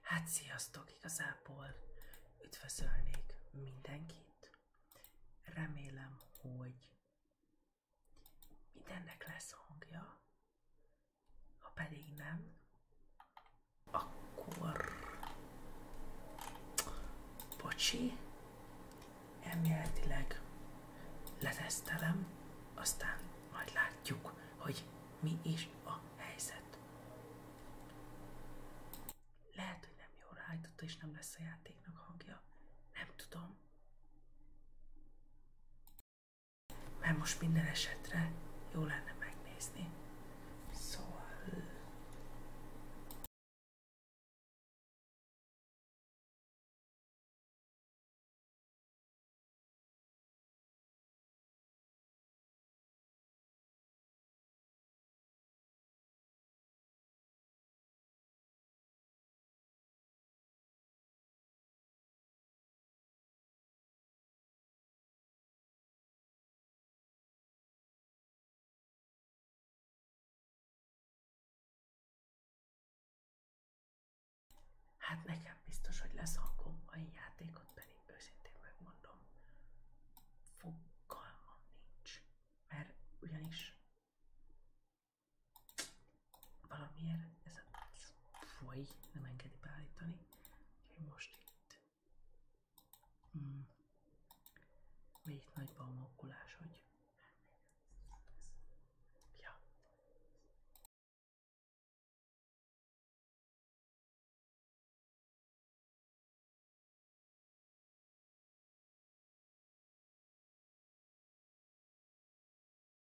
Hát sziasztok igazából! Üdvözölnék mindenkit. Remélem, hogy mindennek lesz hangja, ha pedig nem, akkor bocsi, elméletileg letesztelem, aztán majd látjuk, hogy mi is a helyzet. Lehet, hogy nem jól rájtotta, és nem lesz a játéknak hangja. Nem tudom. Mert most minden esetre jó lenne megnézni. Szóval... Hát nekem biztos, hogy lesz hangom mai játékot, pedig őszintén megmondom, fogalmam nincs, mert ugyanis valamiért ez a foly nem engedi beállítani. Most itt. Mm. itt nagyban a mokkulás, hogy... Ja.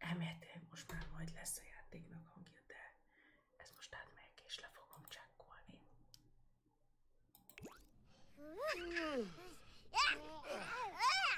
Elméletileg most már majd lesz a játéknak hangja, de ez most át átmegyek és le fogom csekkolni. Hmm.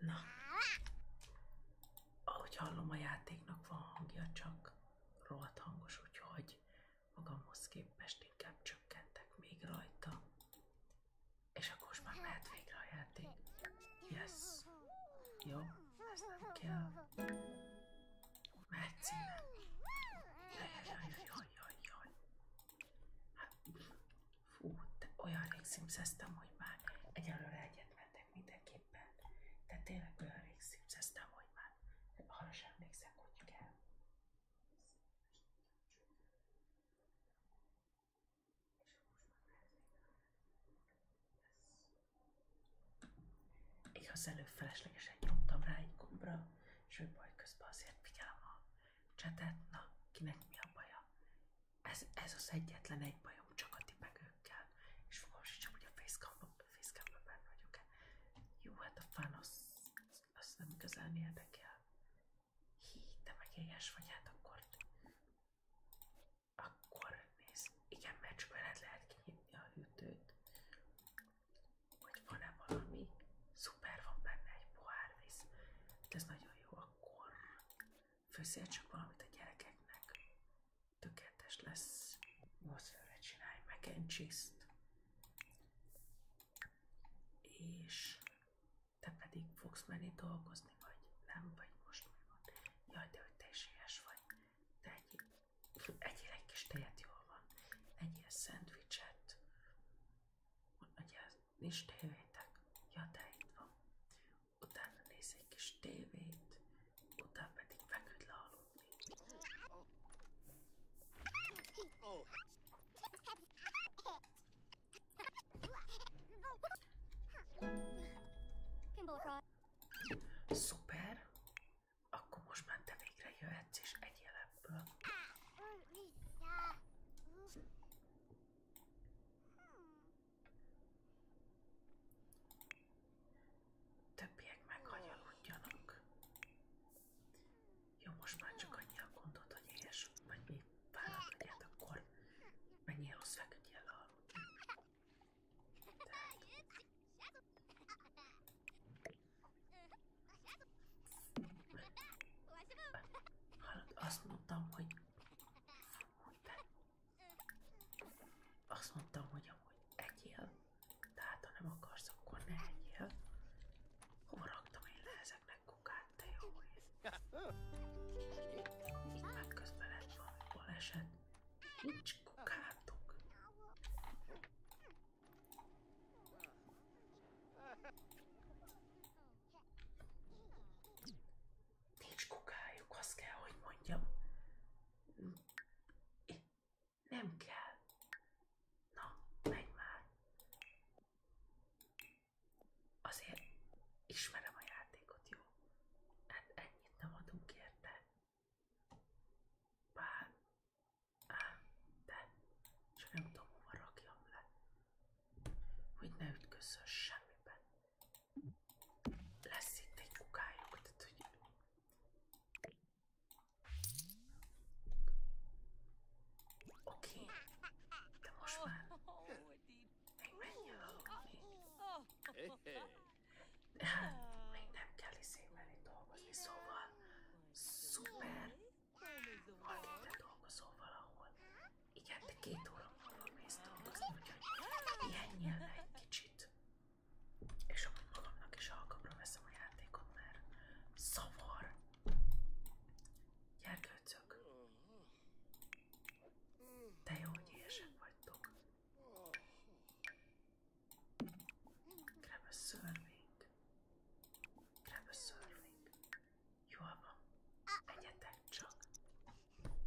Na. Ahogy hallom, a játéknak van hangja, csak rohadt hangos, úgyhogy magamhoz képest inkább csökkentek még rajta. És akkor most már mehet végre a játék. Yes. Jó, ez nem kell. Metszíne. Jajjajjajjajjaj. Hát, fú, de olyan rég szimszeztem, hogy már egyelőre egyet mentek mindenképpen. De tényleg olyan rég szimszeztem, hogy már arra sem emlékszem, hogy kell. Igaz, előbb feleslegesen nyomtam rá egy gombra, és ő baj közben azért figyelem a csetet, na, kinek mi a baja. Ez, ez az egyetlen egy bajom, csak a tipegőkkel, és fogom sincs, hogy a facecamban benne vagyok-e. Jó, hát a fán az, nem igazán érdekel. Hí, hát akkor... Akkor nézd, igen, mert csak lehet kinyitni a hűtőt hogy van valami, szuper van benne egy pohár ez nagyon jó, akkor főszél csak valamit a gyerekeknek. Tökéletes lesz, mozfőre csinálj mac and cheese És te pedig fogsz menni dolgozni, vagy nem, vagy most mi van. Jaj, de hogy te is vagy. Te egy Egyél egy kis tejet, jól van. Egyél szendvicset. Ugye, nincs tévétek? Ja, de itt van. Utána néz egy kis tévét, utána pedig feküdj lealudni. Szuper! Akkor most már te végre jöhetsz és egy jelenből. Többiek meghanyaludjanak. Jó, most már csak annyira gondolod, hogy éhes vagy még vállalt legyed, akkor menjél rossz feküdjél aludni. Tehát. Hallod, azt mondtam, hogy azt mondtam, hogy amúgy egyél, tehát ha nem akarsz, akkor ne egyél. Hova raktam én le ezeknek kukát, te jó én? Már közben lett valami baleset. Nincs kukátok. Nincs kukájuk, azt kell, hogy mondjam. Nem kell. Na, menj már. Azért ismerem a játékot, jó? Hát ennyit nem adunk érte. Bár, ám, de csak nem tudom, hova rakjam le, hogy ne ütközzön semmiben. Lesz itt egy kukájuk, tehát hogy... Oké, okay. de most már... Még mennyi a valami? hát még nem kell iszémelni dolgozni, szóval szuper, ha te dolgozol valahol. Igen, te két óra múlva mész dolgozni, úgyhogy pihenjél le egy kicsit. És amúgy magamnak is alkapra veszem a játékot, mert szavar. Gyerkőcök! De jó, hogy vagytok. Grab a szörvény. Grab a szörvény. Jól van. Menjetek csak.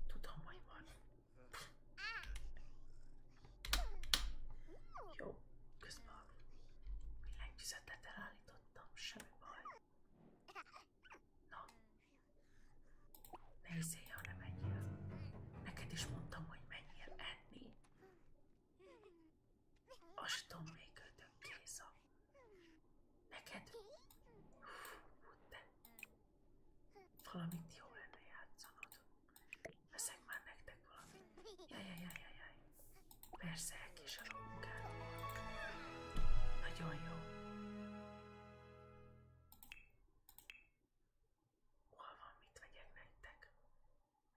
Tudom, hogy van. Jó, közben billentyűzetet elállítottam, semmi baj. Na, ne hiszél, ha nem menjél. Neked is mondtam, hogy menjél enni. Aston még ötök kéz a... Neked? Hú, te. Valamit jó lenne játszanod. Veszek már nektek valamit. Jajajajajaj. Persze, elkésed a munkád. Nagyon jó. Hol van, mit vegyek nektek?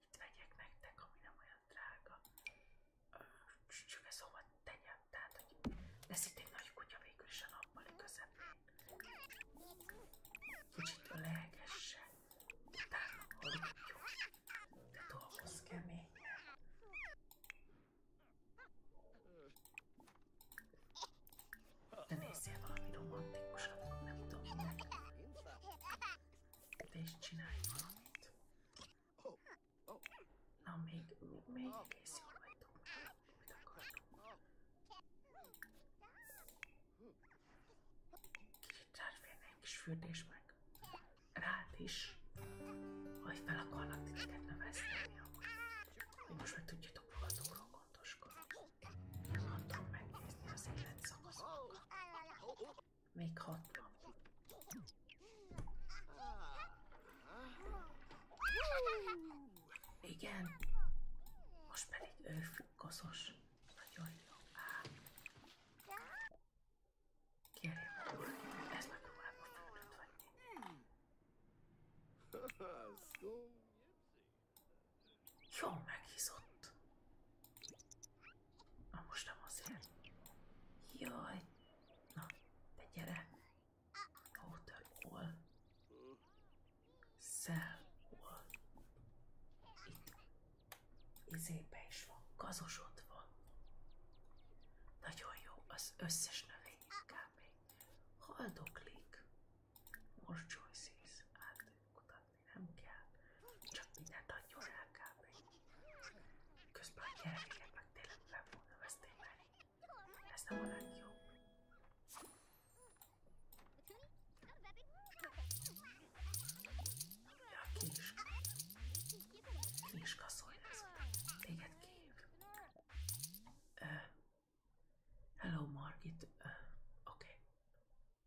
Mit vegyek nektek, ami nem olyan drága? Csak ez hova szóval tegyem, tehát, hogy lesz itt egy nagy kutya végül is a nappali közepén. Kicsit lehegesse, utána aludjon, de dolgoz keményen. De nézzél valami romantikusat, nem tudom. Te is csinálj valamit. Na, még, még, még egész jól vagytok, mit akartunk. Kicsit ráférne egy kis fürdés meg. Rád is, hogy fel akarnak titeket növeszteni, amúgy. Én most meg tudjátok magatokról gondoskodni. Nem akarom megnézni az élet szakaszokat. Még hat. Igen. Most pedig ő koszos. Nagyon jó. Á. Kérjem, ez megpróbálom a fülöt Jól meghízott. Na most azért. Jaj. Na, te gyere. Hotel hol? Itt. Izébe van. Gazosod Nagyon jó. Az összes növény kb. Haldoklik. Most choices. Átadjuk oda adni nem kell, csak mindent adjon el kb. Közben a gyerekeket meg tényleg nem fogna vesztélyben. Ez nem a legjobb. Ja, ki is. Ki is kaszolj lesz. Téged kihív. Uh, hello, Margit. Uh, Oké. Okay.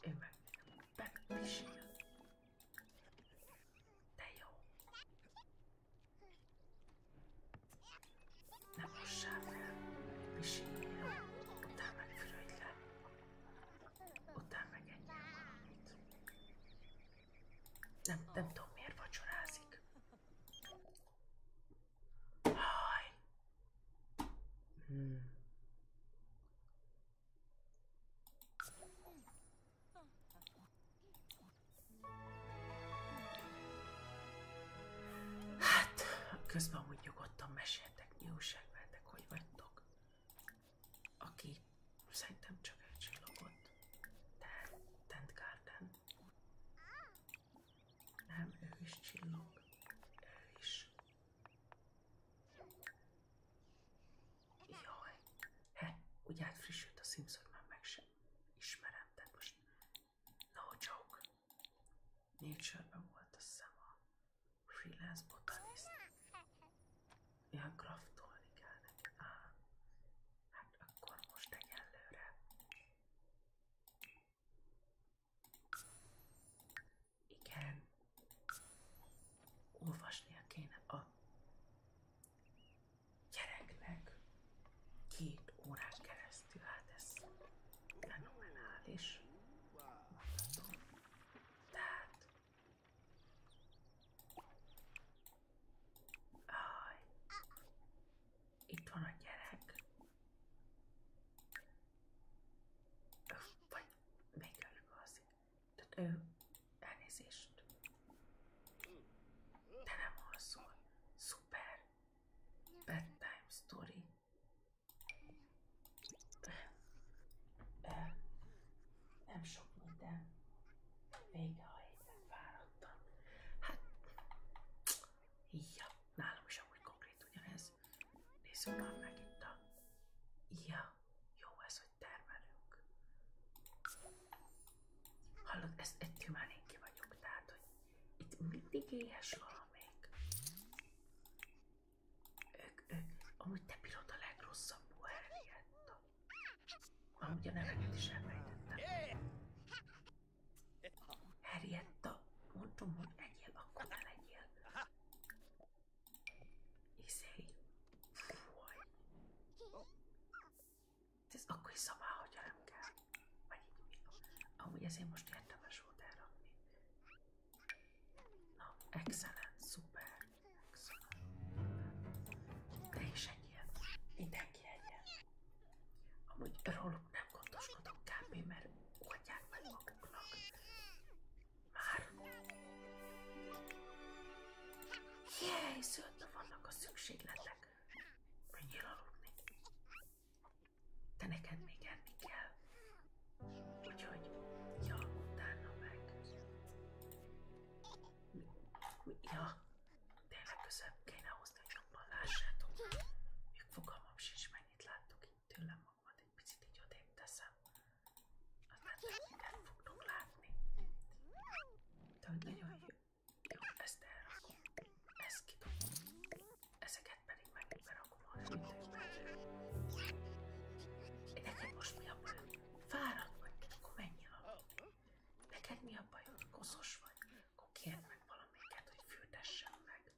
Én meg megpisil. De jó. Nem mossál fel. Pisilja. Utána meg fürödj le. Utána meg ennyi valamit. Nem, nem tudom miért vacsorázik. Hát, közben úgy nyugodtan meséltek, mi újság veletek, hogy vagytok. Aki szerintem csak egy de Tent Garden. Nem, ő is csillog. Ő is. Jaj. He, ugye hát frissült a Simpson, már meg sem ismerem, tehát most no joke. Nature-ben volt a szema. Freelance botanist. Ilyen craftolni kell neki. Ah, hát akkor most egyelőre igen. Olvasnia kéne a gyereknek két órán keresztül, hát ez fenomenális. Tehát... Aj. Itt van a gyerek. Vagy még előbb az. Tehát ő elnézést. De nem alszol. Szuper. Bedtime story. Nem sok minden. Vége a héten fáradtam. Hát, ja, nálam is amúgy konkrét ugyanez. Nézzük már meg itt a... Ja, jó ez, hogy termelünk. Hallod, ezt ettől már én ki vagyok, tehát, hogy itt mindig éhes valamelyik. Ők, ők, amúgy te bírod a legrosszabb buheriet. Amúgy a neveket is elmejtettem. Harrietta, mondtam, hogy legyél, akkor ne legyél. Izé. Fúj. Ez akkor is szabá, hogyha nem kell. Vagy Amúgy ezért most érdemes volt elrakni. Na, excellent, szuper. Excellent. De is egy ilyen. Mindenki egy Amúgy róla nem gondoskodok kb. mert oldják meg maguknak. Már. Jéj, szőtve vannak a szükségletek. Menjél aludni. De neked még enni kell. Úgyhogy, ja, utána meg. Ja, tényleg közebb kéne hozni, hogy jobban lássátok. Még fogalmam sincs, mennyit láttok tényleg magamat egy picit így odébb teszem. Aztán mindent fognak látni. De hogy nagyon jó. Jó, ezt elrakom. Ezt pedig meg berakom a most mi a bajod? Fáradt vagy, akkor menjél Neked mi a bajod? Koszos vagy? Akkor kérd meg valamiket, hogy meg.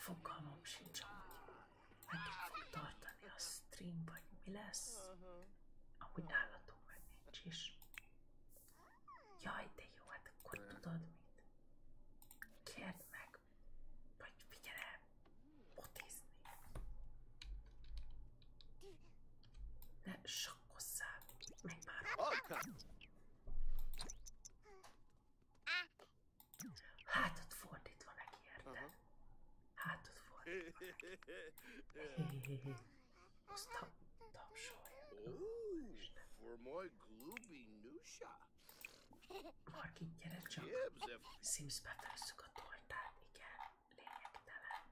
Fogalmam sincs, hogy meddig fog tartani a stream, vagy mi lesz. Ahogy nálatunk meg nincs is. Jaj, de jó, hát akkor tudod mit? Kérd meg, vagy figyelj, botizni. Ne sakkozzál, meg már. Hátad fordítva neki, érted? Hátad fordítva neki. Azt tap, tapsolj. Oh, for my glooby nusha. Margit, gyere csak. Sims befesszük a tortát, igen, lényegtelen.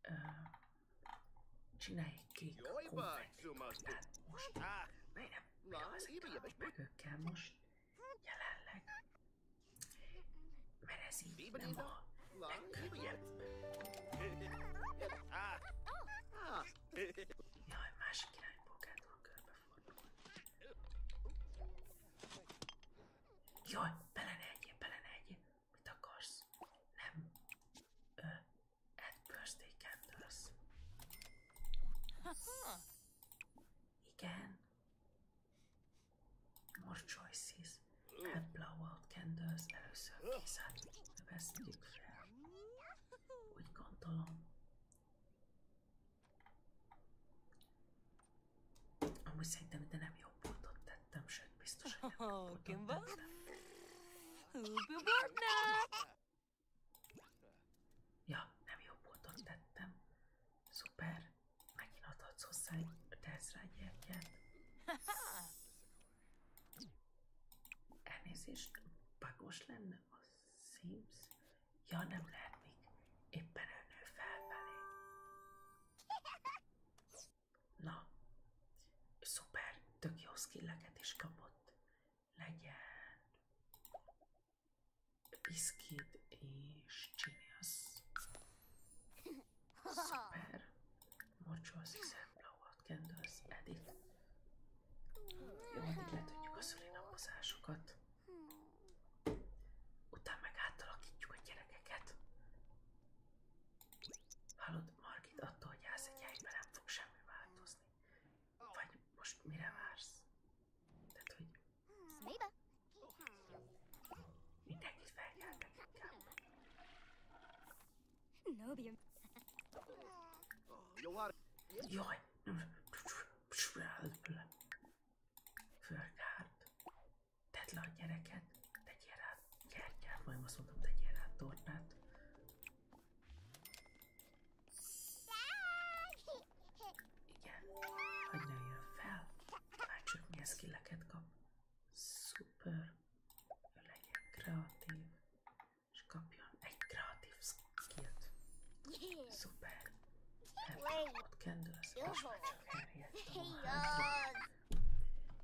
Ö, csinálj egy kék konfetti tortát most. Miért nem? Mi az, hogy megökkel most? jelenleg. Mert ez így nem a legkönnyebb. Jaj, másik irányból kell körbefordulni. Jaj, bele ne egyél, bele ne egyél. Mit akarsz? Nem. Ö, Ed Birthday Candles. Igen. More choices. Have blowout candles. Először készát vesztjük fel. Úgy gondolom. Amúgy szerintem ide nem jobb pontot tettem, sőt biztos, hogy nem jobb pontot tettem. Ja, nem jó ponton tettem. Szuper. Megint adhatsz hozzá egy teszre egy jegyet. Elnézést, bagos lenne a Sims? Ja, nem lehet még. Éppen elnő felfelé. Na, szuper, tök jó skilleket is kapott. Legyen piszkít és csinálsz. Szuper. Mocsolsz, hiszen blowot kendőlsz, eddig. Jó, hogy letudjuk a szüli napozásokat. Utána meg átalakítjuk a gyerekeket. Hallod, Margit attól, hogy állsz egy helyben nem fog semmi változni. Vagy most mire vársz? Tehát, hogy... Mindenkit felkeltek inkább. Nobium. Jaj! Fölkárt. Tedd le a gyereket. Tegyél rá gyertyát. Majd azt mondom, tegyél rá tortát. Igen, hogy nőjön fel. Már csak milyen skilleket kap. Szuper. Ő legyen kreatív. És kapjon egy kreatív skillt. Szuper. Ott kendősz, most már csak elhelyett a hátra.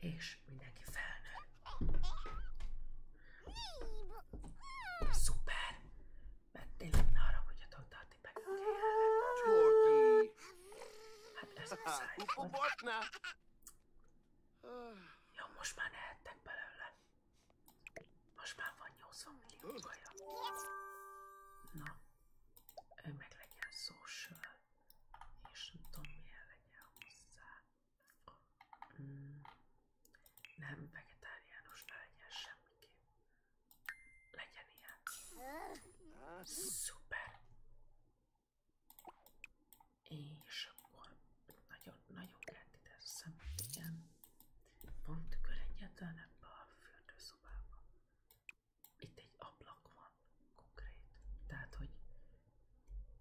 És mindenki felnő. Szuper! Mert tényleg ne haragudjatok, de a tipeket Csorti! Hát ez hát, muszáj. Hát, Jó, most már nehettek belőle. Most már van 80 millió kaja. Na, ő meg legyen social, és nem tudom milyen legyen hozzá. Mm. nem vegetáriánus ne legyen semmiképp. Legyen ilyen. Szuper. És akkor nagyon-nagyon kellett ide szemet, igen. Van tükör egyetlen ebbe a fürdőszobába. Itt egy ablak van konkrét. Tehát, hogy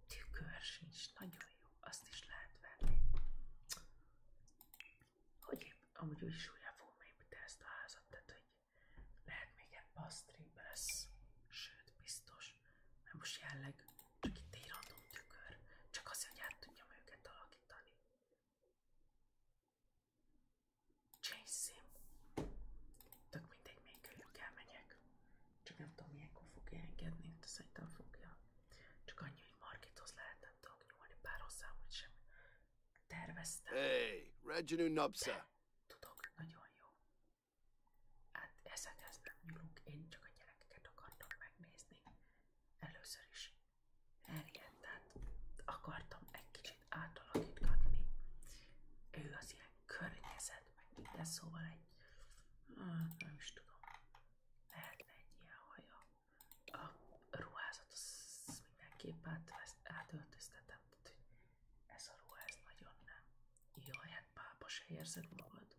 tükör sincs. Nagyon jó. Azt is lehet venni. Hogy épp, amúgy úgy is újra fogom építeni ezt a házat, tehát hogy lehet még ebbe a streambe lesz, sőt biztos, mert most jelleg csak itt egy random tükör, csak azért, hogy át tudjam őket alakítani. Change sim. Csak nem tudom, milyenkor fogja engedni, de szerintem fogja. Csak annyi, hogy markithoz lehet nem tudok nyúlni, bár sem terveztem. Hey, Reginu Napsa! Tudok, nagyon jó. Hát ezekhez nem nyúlunk, én csak a gyerekeket akartam megnézni. Először is Henriettát akartam egy kicsit átalakítgatni. Ő az ilyen környezet, meg minden, szóval egy... Hát, nem is tudom. Lehetne egy ilyen haja a ruházat az mindenképp át, átöltöztetem, tehát hogy ez a ruház nagyon nem. Jaj, hát pápa érzed magad.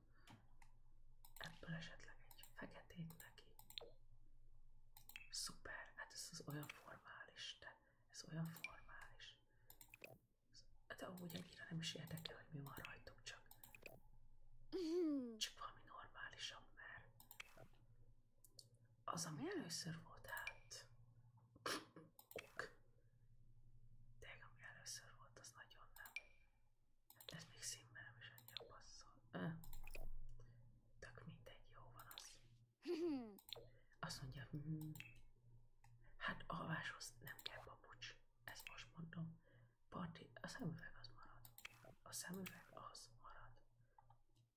Ebből esetleg egy feketét neki. Szuper, hát ez az olyan formális, de ez olyan formális. De ahogy annyira nem is érdekel, hogy mi van rajtuk, csak, csak valami normálisabb, mert az, ami először volt, hát... Ok. De ami először volt, az nagyon nem. Hát ez még színben nem is annyira passzol. Tök mindegy, jó van az. Azt mondja, hm. hát alváshoz nem kell papucs. Ezt most mondom. Parti, a szemüveg az marad. A szemüveg az marad.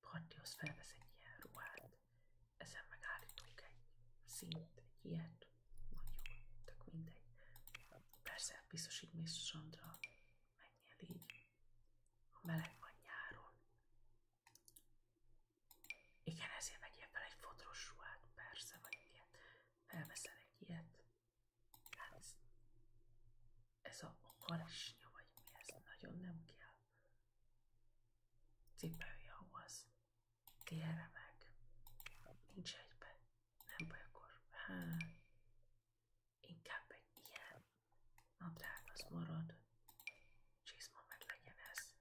Partihoz felvesz egy ilyen ruhát, ezen megállítunk egy szint, egy ilyet, tök mindegy. Persze biztos így mész strandra, menjél így, ha meleg van nyáron. Igen, ezért vegyél fel egy fodros ruhát, persze, vagy ilyet. Felveszel egy ilyet. Hát, ez a harisnya vagy mi ez? Nagyon nem kell. Cipelje ahhoz. Térre meg. Nincs egyben. Nem baj akkor. Hát. Inkább egy ilyen nadrág az marad. Csizma meg legyen ez.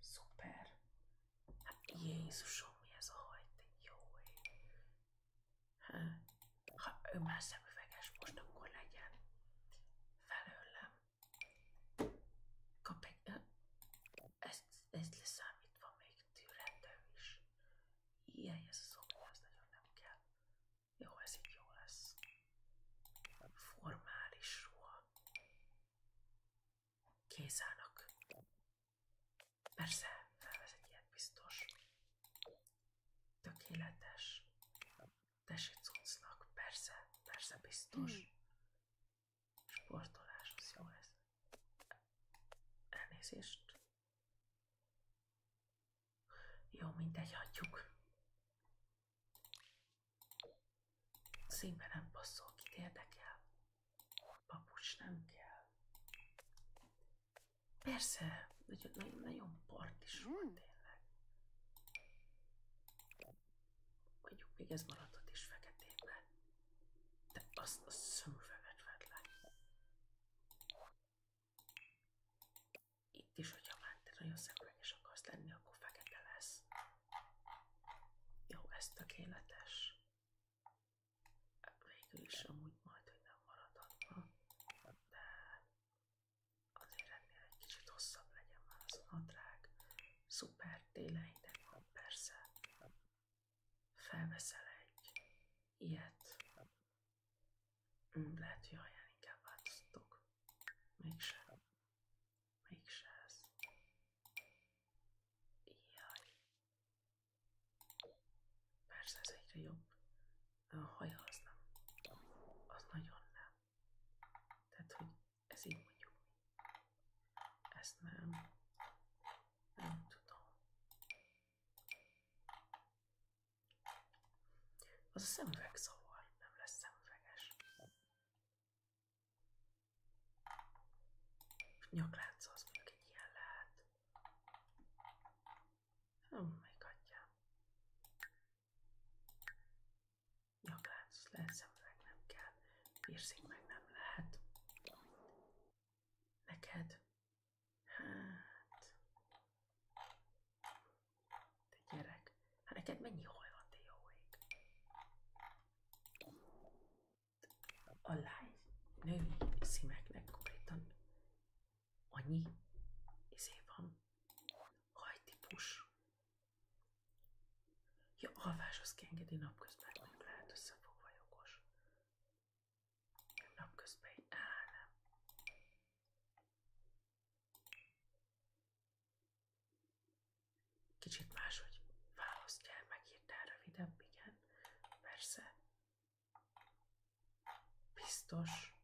Szuper. Hát Jézusom, mi ez a hajt? Jó ha ő már szemüveges, most akkor legyen felőlem. Kap egy... ez ezt leszámítva még tűrendő is. Ilyen ez a szobor, ez nagyon nem kell. Jó, ez így jó lesz. Formális ruha. Kézának. Persze, felvesz egy biztos. Tökéletes. Tessék cuccnak, persze, persze biztos. Hmm. Sportolás, az jó ez. Elnézést. Jó, mindegy, hagyjuk. Színbe nem passzol, kit érdekel. Papucs nem kell. Persze, nagyon, nagyon partis volt hmm. tényleg. Mondjuk még ez maradhat is feketébe. De azt a szemüveget vedd le. Itt is, hogyha már te nagyon szemüveges akarsz lenni, akkor fekete lesz. Jó, ez tökéletes. Végül is amúgy majd, hogy nem maradhatna. De a néletnél egy kicsit hosszabb legyen már az a nadrág. Szuper, télen hideg van persze. Felveszel egy ilyet. Hmm, lehet, hogy alján inkább változtatok. Mégse. Mégse ez. Jaj. Persze ez egyre jobb a haja az az nagyon nem. Tehát, hogy ez így mondjuk Ezt nem, nem tudom. Az a szemüveg zavar, nem lesz szemüveges. Nyaklánca az még egy ilyen lehet. Nem, még adja. Nyaklánc lehet, szemüveg nem kell, piercing meg nem lehet. Neked? Hát... Te gyerek, hát neked mennyi haj van, te jó ég? A lány női szímeknek konkrétan annyi izé van, hajtípus. Ja, alváshoz kiengedi napközben, nem lehet összefogva jogos. Nem napközben, áh nem. Kicsit máshogy választjál, megírtál rövidebb, igen, persze. Biztos.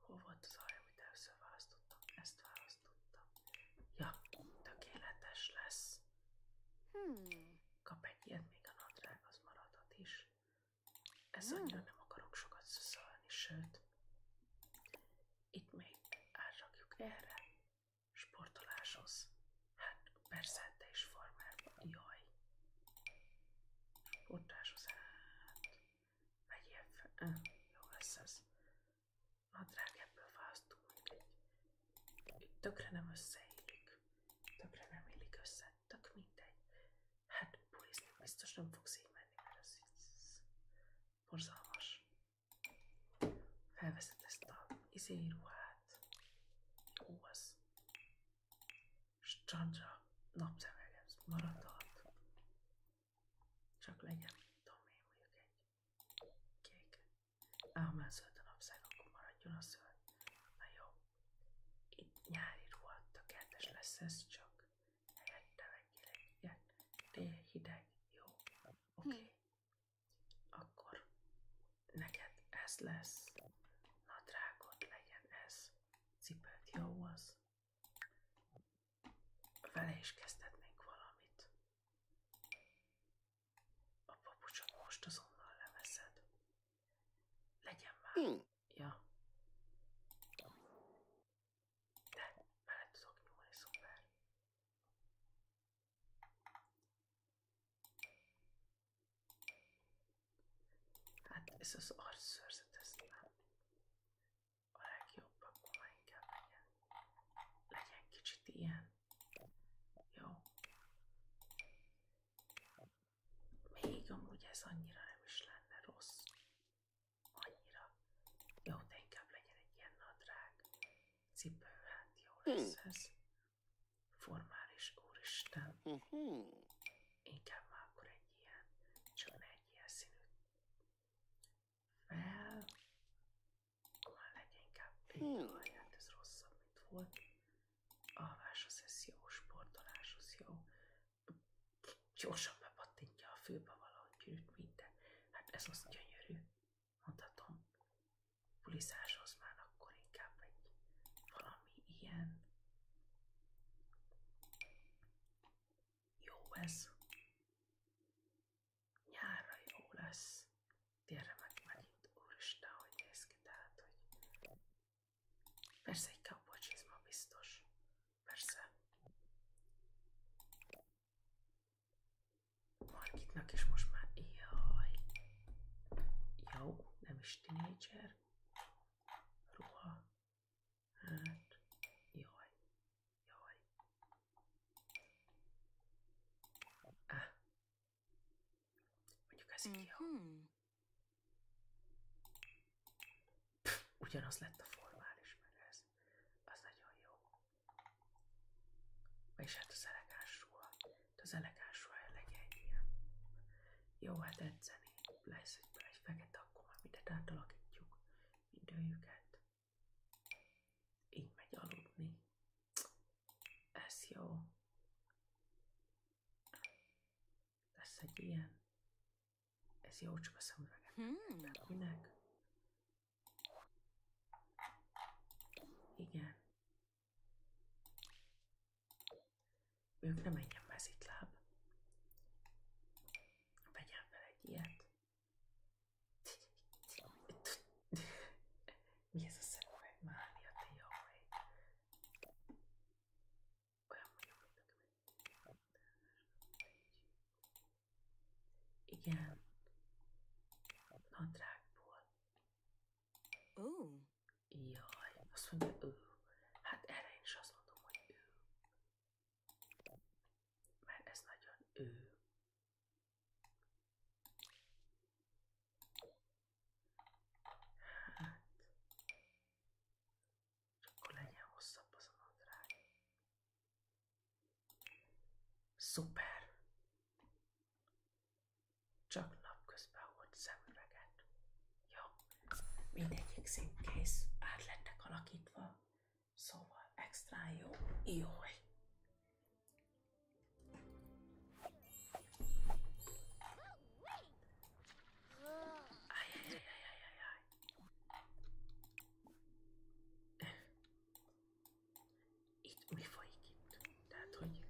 Hol volt az arra, amit először választottam? Ezt választottam. Ja, tökéletes lesz. Hmm. Kap egy ilyet, még a nadrág az maradhat is. Ez hmm. annyira nem akarok sokat szöszölni, sőt. Itt még átrakjuk erre. Sportoláshoz. Hát persze, te is formában. Jaj. Sportoláshoz hát. Vegyél fel. Eh, jó lesz ez. Nadrág ebből fasztul mindegy. Itt tökre nem összeillik. Tökre nem illik össze. Tök mindegy. Hát bulizni biztos nem fogsz így menni, mert ez borzalmas. Felveszed ezt a izé ruhát. Ó, az strandra napszemegem maradhat. Csak legyen, tudom én mondjuk egy kék. Ám már zöld a napszág, akkor maradjon a zöld. Na jó. Itt nyári ruha tökéletes lesz ez, csak helyette vegyél egy igen. Tél hideg, jó. Oké. Okay. Hm. Akkor neked ez lesz. Na drágod legyen ez. Cipőt jó az. Vele is kezdhetnénk valamit. A papucsot most azonnal leveszed. Legyen már. Mm. Ja. De, bele tudok nyúlni, szuper. Hát ez az arcszőrzet, ez a legjobb, akkor inkább legyen, legyen kicsit ilyen. Jó. Még amúgy ez annyira nem is lenne rossz. Annyira. Jó, de inkább legyen egy ilyen nadrág. Cipő, hát jó hm. lesz ez. Formális, úristen. Hm, hm. Inkább már akkor egy ilyen, csak ne egy ilyen színű fel, már leginkább végighagyát, ez rosszabb, mint volt. Alváshoz ez jó, sportoláshoz jó. Gyorsan bepattintja a fülbe valahogy gyűrűt minden. Hát ez az gyönyörű, mondhatom. Pulizáshoz már akkor inkább egy valami ilyen jó ez. Nyárra jó lesz. Térre meg megint. Úristen, hogy néz ki, tehát, hogy... Persze egy kapocsizma biztos. Persze. Margitnak is most már... Jaj. Jó, nem is tinédzser. Ruha. Hát, jaj, Ah. Mondjuk ez így jó. Mhm. ugyanaz lett a formális meg ez. Az nagyon jó. És hát az elegáns ruha. Hát De az elegáns ruha legyen ilyen. Jó, hát edzeni. Lesz egy, egy fekete, akkor már mindent átalakítjuk időjüket. Így megy aludni. Ez jó. Lesz egy Ez jó csak a szemüvegem. Hmm. Minek? Igen. Ők nem engem mezítláb. Vegyem fel egy ilyet. Mi ez a szemüveg? Mária, te jaj. Olyan vagyok, mint nekem Igen. Nadrágból. Ó. Jaj, azt mondja ő. Hát erre én is azt mondom, hogy ő mert nagyon ő. Hát, csak akkor a nadrág. Szuper! Csak napközben volt szemüveget. Jó, mindegyik szín kész, át lettek alakítva. Szóval extra jó. jó. Ajajajajajajaj! folyik itt? Tehát, hogy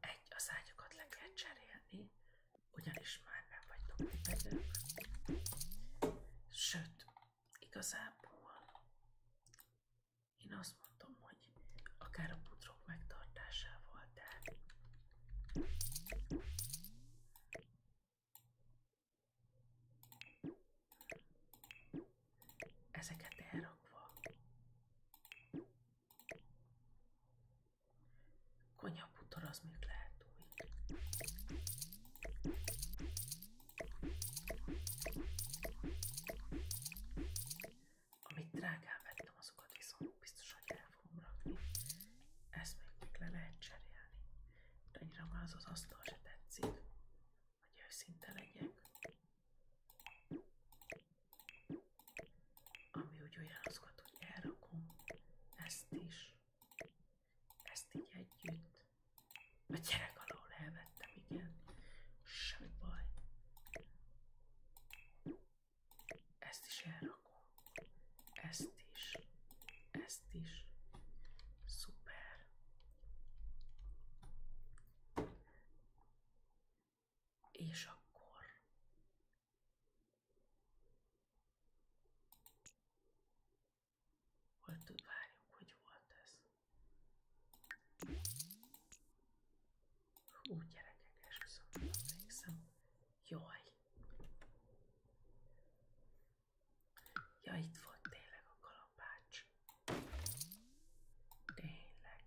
egy az ágyakat le kell cserélni, ugyanis már nem vagytok fedők. Sőt, igazából én azt mondom, hogy akár a putrok megtartásával, de ezeket elrakva Konyaputor az még lehet új. Amit drágán azokat viszont biztos, hogy Ezt még le lehet cserélni. De annyira már az Ami úgy olyan azokat, hogy ezt is, ezt így együtt. A gyerek alól elvettem, igen. Semmi baj. Ezt is elrakom. Ezt is. Ezt is. Szuper. És akkor Hol tud várjunk, hogy volt ez? Hú, gyerekek, esküszöm, emlékszem. Jaj! Ja, itt volt tényleg a kalapács. Tényleg.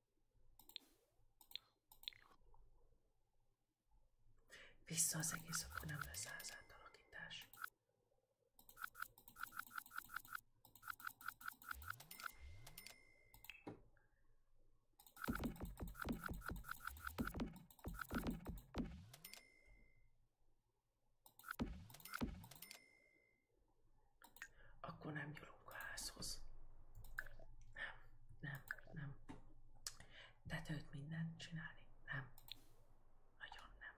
Vissza az egész, akkor nem lesz az átalakítás. Akkor nem nyúlunk a házhoz. Nem, nem, nem. Tetőt mindent csinálni? Nem. Nagyon nem.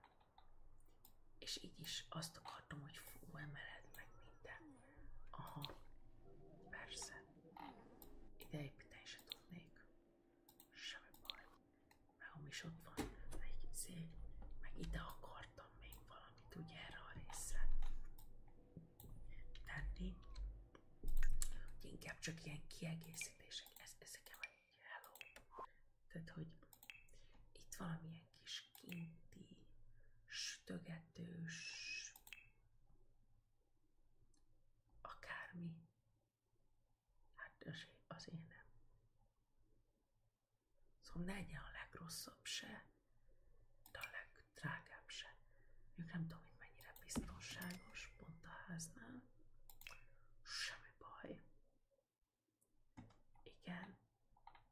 És így is azt akartam, hogy fú, emeled meg minden. Aha, persze. Ide egy építeni is tudnék. Semmi baj. Mert is ott van egy szék, meg ide akartam még valamit, ugye erre a részre tenni. Inkább csak ilyen kiegészítések, ez, ezeken van egy hello. Tehát, hogy itt valamilyen kis kinti, stögetős, akármi. Hát az én Szóval ne legyen a legrosszabb se de a legdrágább nem tudom, mennyire biztonságos pont a háznál. Semmi baj. Igen,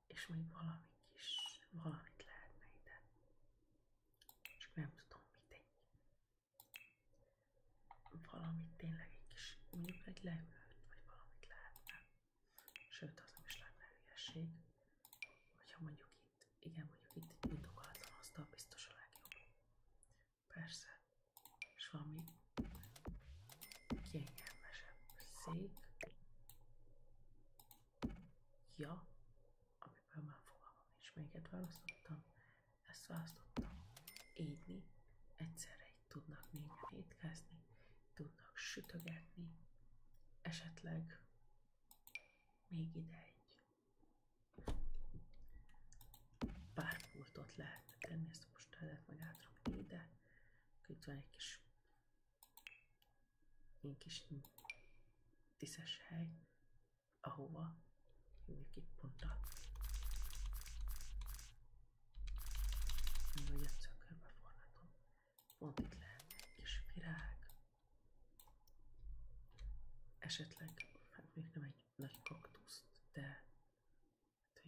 és még valami kis, valamit lehetne ide. Csak nem tudom, mit egy. Valamit tényleg egy kis, mondjuk egy leülőt, vagy valamit lehetne. Sőt, az nem is lenne Hogyha mondjuk itt, igen, mondjuk itt egy nyitogatlan asztal biztos a legjobb. Persze. És valami kényelmesebb szék. Ja, amiből már fogalmam nincs, melyiket választottam. Ezt választottam. Édni. Egyszerre itt tudnak négyen étkezni, tudnak sütögetni, esetleg még ide egy pár pultot lehetne tenni, ezt most lehet meg átrakni ide. Itt van egy kis egy kis tiszes hely, ahova hívjuk itt pont a hogy a cökörbe Pont itt lehet egy kis virág esetleg, hát még nem egy nagy kaktuszt, de hát,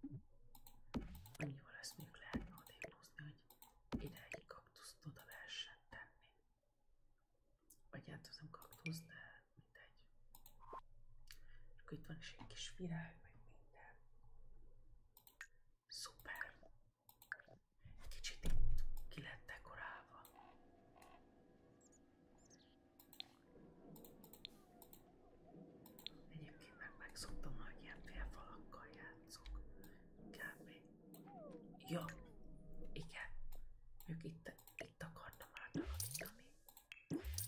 hogy annyival ezt még lehetne odébb hogy ide egy kaktuszt oda lehessen tenni. az hát nem kaktusz, de mindegy. És akkor van is egy kis virág, meg minden. Szuper. Kicsit itt ki lett dekorálva. Egyébként meg megszoktam, hogy ilyen félfalakkal játszok. Kb. Ja, igen. Ők itt, itt akartam átalakítani.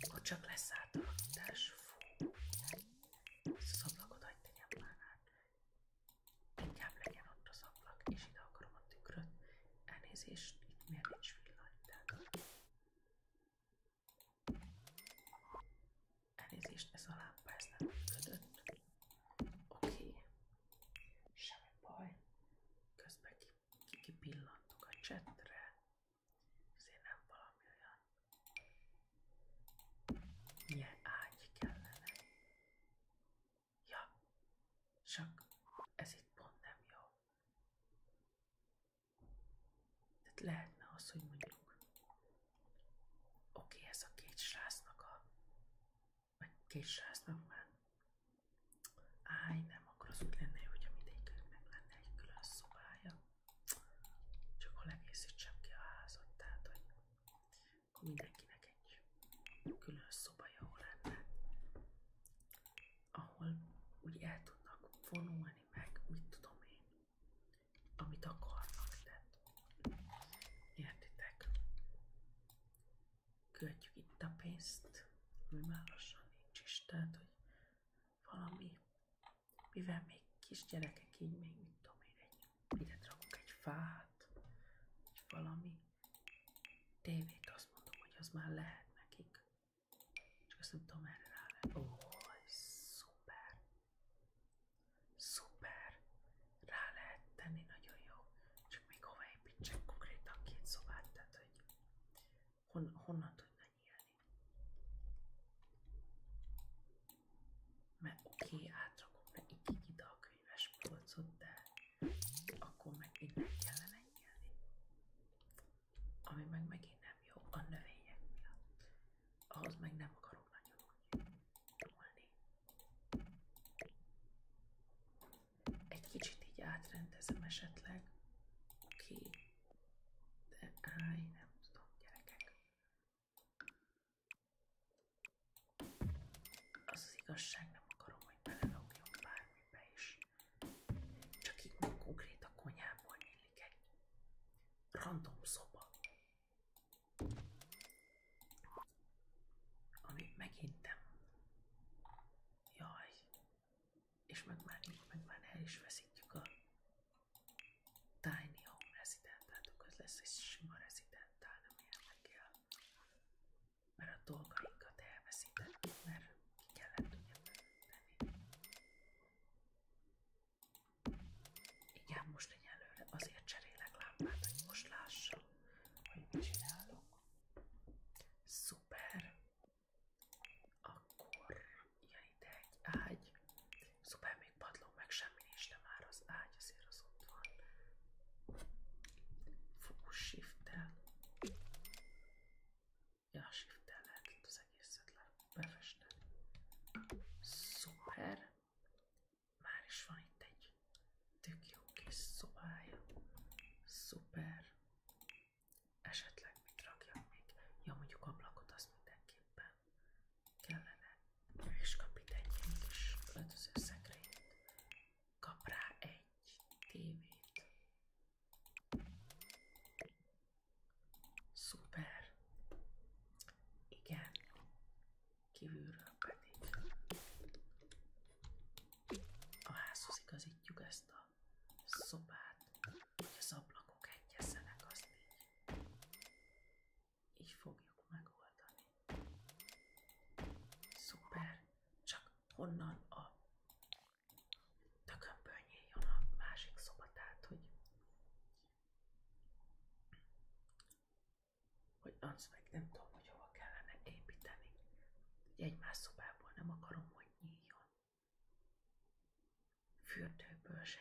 Akkor csak lesz átalakítás. Fú az ablakot hagyd tegyem már át. Inkább legyen ott az ablak, és ide akarom a tükröt. Elnézést, itt miért nincs villany, de... Elnézést, ez a lámpa, ez nem működött. Oké. Okay. Semmi baj. Közben kipillantok ki, ki a csetre. Ezért nem valami olyan milyen ágy kellene? Ja, csak ez itt pont nem jó. Tehát lehetne az, hogy mondjuk oké, ez a két srácnak a vagy két srácnak már áj, nem, akkor az úgy lenne jó, hogyha mindegyiknek meg lenne egy külön szobája. Csak hol egészítsem ki a házat, tehát hogy mindenkinek egy külön szoba jó lenne, ahol úgy el tudnak vonulni meg, mit tudom én, amit akarnak, tehát értitek. Költjük itt a pénzt, ami már lassan nincs is, tehát hogy valami mivel még kisgyerekek így még mit tudom én, egy, ide rakok egy fát, vagy valami tévét, azt mondom, hogy az már lehet nekik. Csak azt nem tudom erre rá Ó, szuper! Szuper! Rá lehet tenni, nagyon jó. Csak még hova építsek konkrétan két szobát, tehát hogy hon, honnan tudna mert oké, okay, átrakom nekik ide a könyves polcot, de akkor meg innen kellene nyílni. Ami meg megint nem jó a növények miatt. Ahhoz meg nem akarok nagyon úgy nyúlni. Egy kicsit így átrendezem esetleg. Oké. Okay. De állj, nem tudom, gyerekek. Az az igazság, nem akarom, hogy belelogjon bármibe is. Csak így nem konkrét a konyhából nyílik egy random szoba. Ami megint nem. Jaj. És meg már, meg már el is veszítjük a Tiny Home Resident, látok, ez lesz egy sima Resident, nem érdekel. Mert a dolgainkat elveszítettük, mert ki kellett ugye tenni. Igen, most egyelőre azért cserélek lámpát, hogy most lássam, hogy mit csinálok. Szuper! Akkor jön ide egy ágy. Szuper, még egy padló, meg semmi nincs, de már az ágy azért az ott van. Fú, shift-tel. Ja, shift-tel lehet az egészet le befesteni. Szuper. Már is van itt egy tök jó kis szobája. Szuper. Esetleg mit rakjak még? Ja, mondjuk ablakot az mindenképpen kellene, és kap itt egy ilyen kis öltöző szekrényt. Kap rá egy tévét. Szuper. Igen. Kívülről pedig a házhoz igazítjuk ezt a szobát, hogy az ablakok egyezzenek, azt így így fogjuk megoldani. Szuper! Csak honnan a tökömből nyíljon a másik szobát, tehát, hogy hogy az meg nem tudom, hogy hova kellene építeni. Egymás szobából nem akarom, hogy nyíljon. Fürdőből se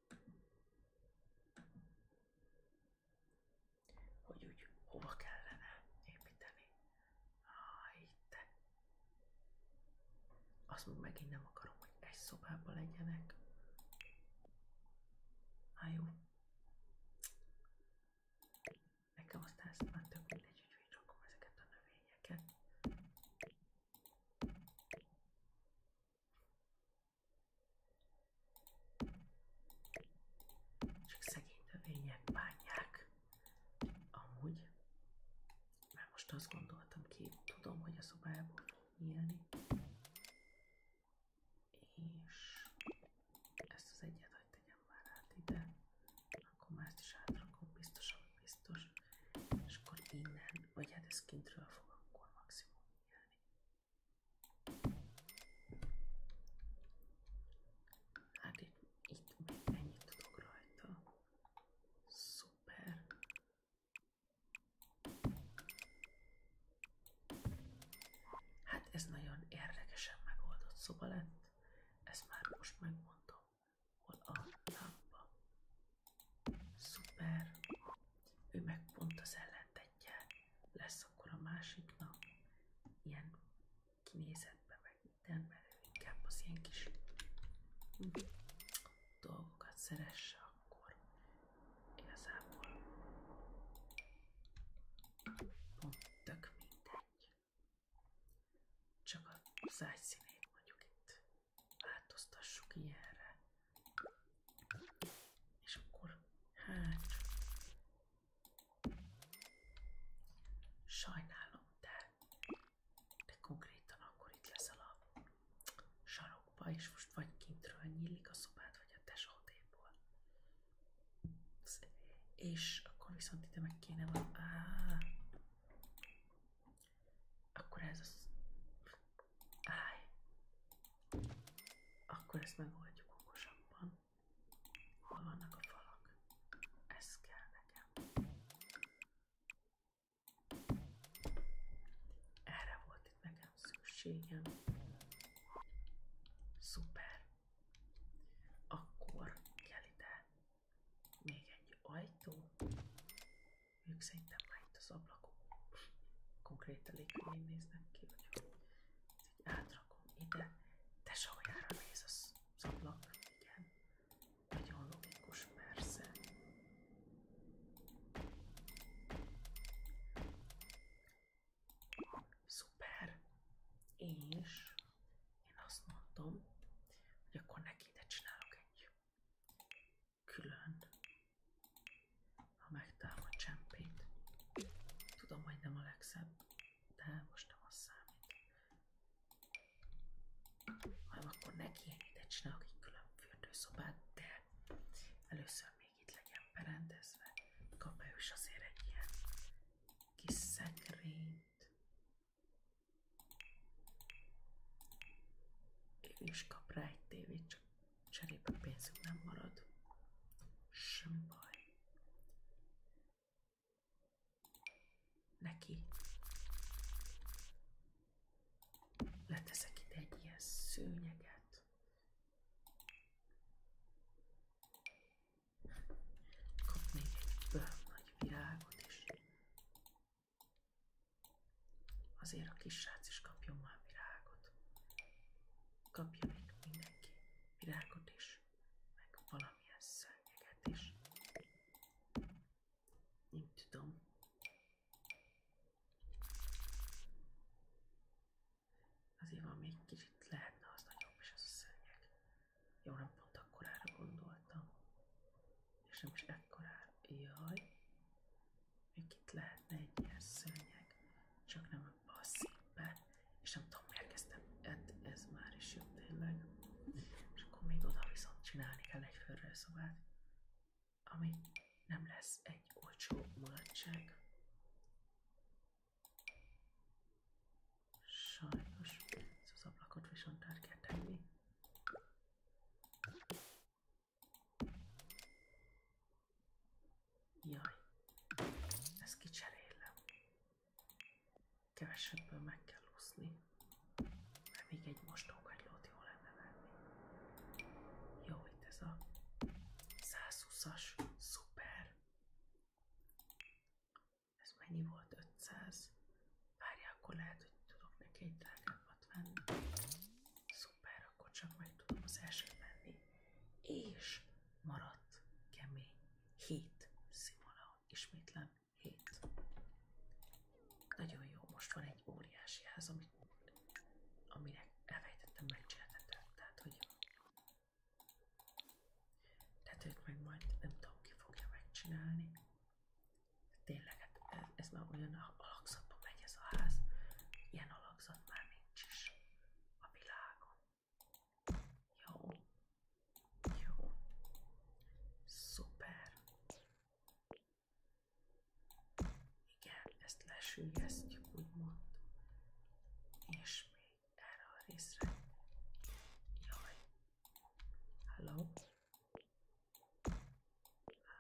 hogy úgy hova kellene építeni. Ah, itt. Azt meg megint nem akarom, hogy egy szobában legyenek. Na jó. Nekem aztán ezt már tök mindegy, hogy így rakom ezeket a növényeket. Csak szegény növények Amúgy. Már most azt gondoltam ki, tudom, hogy a szobából nyílni. És ezt az egyet, hogy ide. Akkor már ezt biztos, ami biztos. És akkor innen vagy hát ez kintről fog akkor maximum Hát itt, itt még ennyit tudok rajta. Szuper. Hát ez nagyon érdekesen megoldott szoba lett. Ezt már most megmondom. Hol a lámpa? Szuper. Ő meg pont az ellentetje lesz akkor a másiknak. Ilyen kinézetben meg minden, mert ő inkább az ilyen kis dolgokat szeresse akkor. Igazából pont tök mindegy. Csak a szájszínét mondjuk itt változtassuk ilyenre. És akkor hát sajnálom, de, de konkrétan akkor itt leszel a sarokba, és most vagy kintről nyílik a szobád, vagy a tesódéból. És akkor viszont ide meg kéne van... Áh, akkor ez az... Áj! Akkor ezt megoldjuk okosabban. Hol vannak a falak? Ez kell nekem. Erre volt itt nekem szükségem. Szuper. Akkor kell ide még egy ajtó. Ők szerintem már itt az ablakon konkrét elég néznek ki, hogy ez így átrakom ide. De sajára néz az, az ablakra, igen. Nagyon logikus, persze. Szuper. És én azt mondom, hogy akkor neki ide csinálok egy külön, ha megtalálom a csempét. Tudom, hogy nem a legszebb, de most nem az számít. Hanem akkor neki én ide csinálok egy külön fürdőszobát, de először még itt legyen berendezve. Kap ő is azért egy ilyen kis szekrényt. Ő is kap rá egy tévét, csak Cserébe pénzünk nem marad. Sem baj. Neki leteszek ide egy ilyen szőnyeget. Kap még egy bőr is. Azért a kis srác is kapjon már virágot. kapjon még mindenki virágot is, meg valami valamilyen szörnyeget is. Nem tudom. Azért van még kicsit lehetne az nagyobb is az a szörnyeg. Jó, nem pont akkorára gondoltam. És nem is ekkorára. Jaj. Még itt lehetne egy ilyen szőnyeg, csak nem a passzívben. És nem tudom, miért kezdtem, hát ez már is jó tényleg. És akkor még oda viszont csinálni kell egy fölrőszobát, ami nem lesz egy olcsó mulatság. Sajnos, ez az ablakot viszont át kell tenni. Jaj, ezt kicserélem. Kevesebből meg kell úszni. Mert még egy mostókagylót jó lenne venni. Jó, itt ez a 120-as, szuper. Ez mennyi volt? 500. Várjál, akkor lehet, hogy tudok neki egy drágábbat venni. Szuper, akkor csak meg tudom az elsőt venni. És maradt kemény. 7 szimona. Ismétlem 7. Nagyon jó, most van egy óriási ház, amit, aminek elvejtettem, megcsináltattam. Tehát, hogy tehát őt meg majd nem tudom ki fogja megcsinálni. Tényleg ez már olyan alakzatban megy ez a ház, ilyen alakzat már nincs is a világon. Jó, jó, szuper. Igen, ezt lesülyeztjük, úgymond. És még erre a részre. Jaj. Hello?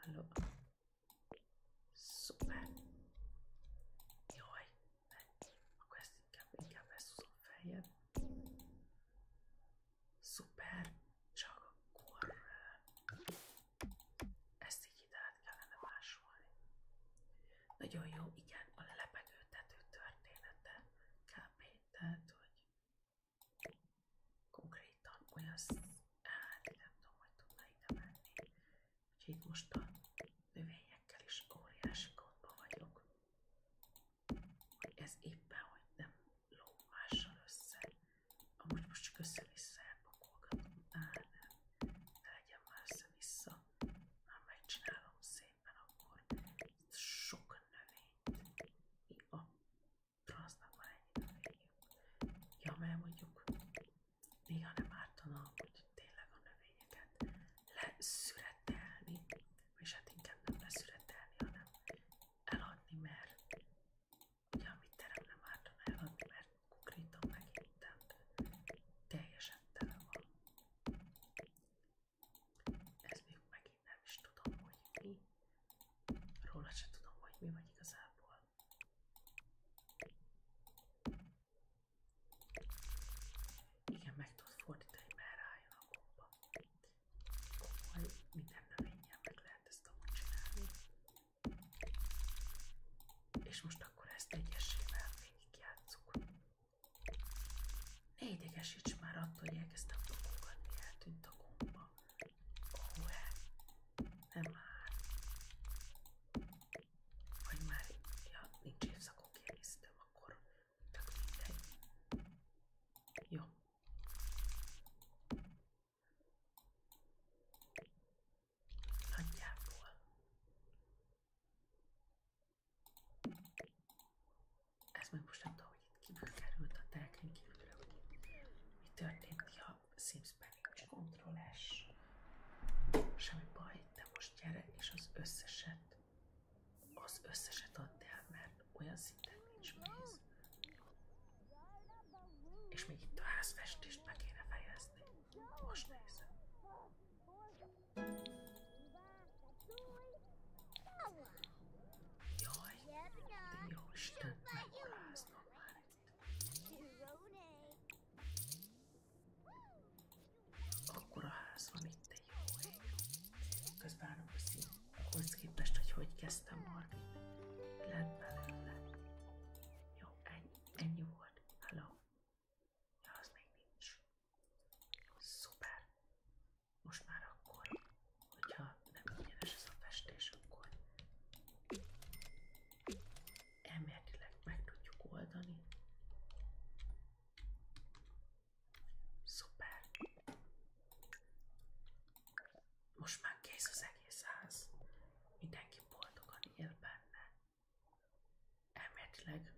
Hello? Szuper! Jaj, ezt inkább, inkább leszúzom Szuper! Csak akkor... Eh, ezt így kellene másolni. Nagyon jó, igen, a lelepegőtető története kb. Tehát, hogy konkrétan hát nem tudom, hogy tudna ide menni. Úgyhogy most a növényekkel is óriási gondban vagyok, hogy ez éppen, hogy nem lóg mással össze. Amúgy most csak össze-vissza elpakolgatom, áh nem, ne legyen már össze-vissza, már megcsinálom szépen akkor sok növényt. Mi a transznak van ennyi növényünk? Ja, mert mondjuk néha nem ártana, hogy tényleg a növényeket leszüretelni, és hát inkább nem leszüretelni, hanem eladni, mert ugye amit terem nem ártana eladni, mert konkrétan megintem, teljesen tele Ez még megint nem is tudom, hogy mi. Róla se tudom, hogy mi vagy igazából. Igen, meg tud fordítani, mert rájön a gomba. Komoly, minden növényen meg lehet ezt amúgy csinálni. És most akkor ezt egyesével végigjátszuk. Ne idegesíts már attól, hogy elkezdtem pakolgatni, eltűnt a gomba. Nem már. Vagy már, ja, nincs évszakon kiegészítem, akkor csak mindegy. Jó. Nagyjából. Ez meg most nem tudom, hogy itt kívül került a telken hogy mi történt, ja, Sims belépés, kontrolás. Semmi baj, de most gyere, és az összeset, az összeset add el, mert olyan szinten nincs víz. És még itt a házfestést meg kéne fejezni. Most nézem. Jaj, de jó Isten, megoláznak már itt akkor a ház van itt egy jó hely. Közben állom, hogy ahhoz képest, hogy hogy kezdtem marni. Lett belőle. Jó, ennyi, ennyi volt. Hello. Ja, az még nincs. Szuper. Most már akkor, hogyha nem ingyenes ez a festés, akkor elméletileg meg tudjuk oldani. Szuper! Most már kész az egész ház. Mindenki boldogan él benne. Elméletileg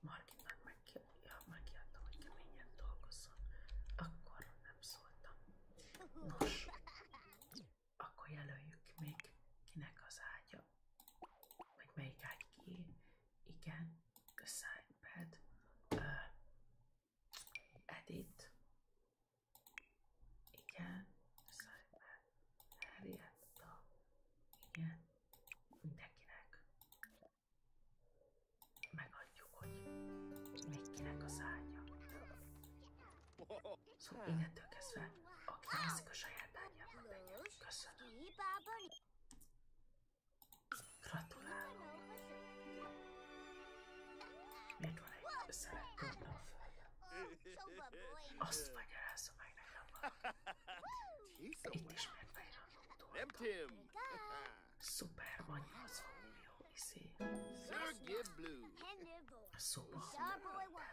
Margitnak meg ja, megijedtem, hogy keményen dolgozzon. Akkor nem szóltam. Nos, akkor jelöljük meg, kinek az ágya, vagy melyik ágy ki. Igen, assign bed, uh, edit, igen, assign bed, Harrietta, igen, mindenkinek. Megadjuk, hogy még az ágya. Szóval innentől kezdve, aki veszik a saját bányában legyen. Köszönöm. Gratulálok. Még van egy szelet a földön. Azt magyarázza meg nekem Itt Nem Tim! Szuper magyar szomjú viszi. Sergey Szóval,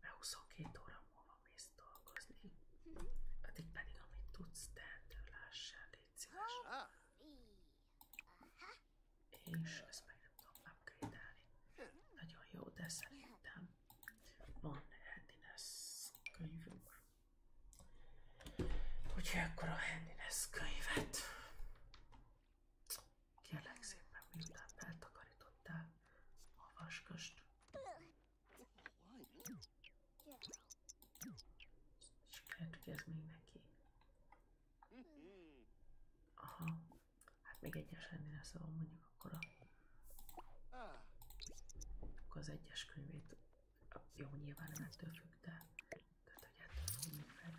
mert 22 óra múlva mész dolgozni. Mhm. Addig pedig, amit tudsz, tehető lássál, légy szíves. És ezt meg nem tudom upgrade-elni. Hm. Nagyon jó, de szerintem van handiness könyvünk. Úgyhogy akkor a handiness könyvet Kérlek szépen, miután eltakarítottál a vaskast, Sikert, hogy ez még neki. Aha, hát még egyes lennél, szóval mondjuk akkor a... Akkor az egyes könyvét... Jó, nyilván nem ettől függ, de... Tehát, hogy ettől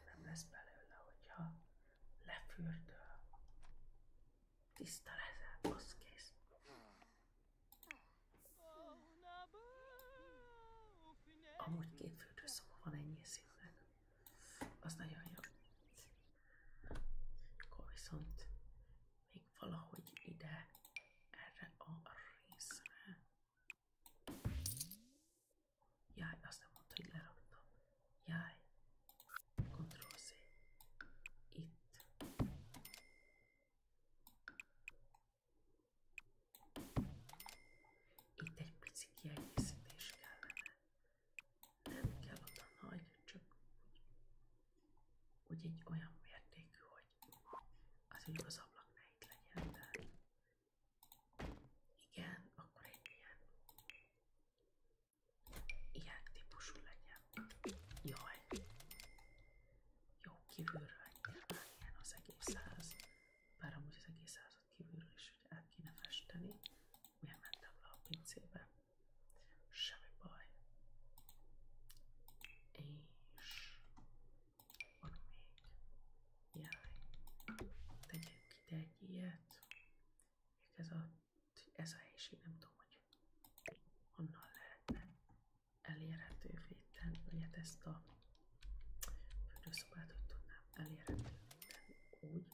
nem lesz belőle, hogyha lefürdöl. Tiszta lezel, az kész. Amúgy két fürdőszoba van ennyi szinten. Az nagyon jó. Akkor még valahogy ide, erre a részre. Jaj, azt nem mondta, hogy leraktam. Jaj. Ctrl-C. Itt. Itt egy pici kiegészítés kellene. Nem kell oda nagy, csak úgy, úgy egy olyan mértékű, hogy az így az ablak ne itt legyen, de igen, akkor egy ilyen, ilyen típusú legyen. Jaj! Jó, kívülről nyilván ilyen az egész száz, bár amúgy az egész százat kívülről is hogy el kéne festeni. Miért mentem le a pincébe? Semmi baj. És van még jaj. Tegyek ide egy ez a, ez a helység nem tudom, hogy honnan lehetne elérhetővé tenni, vagy ezt a fürdőszobát, hogy tudnám elérhetővé tenni úgy.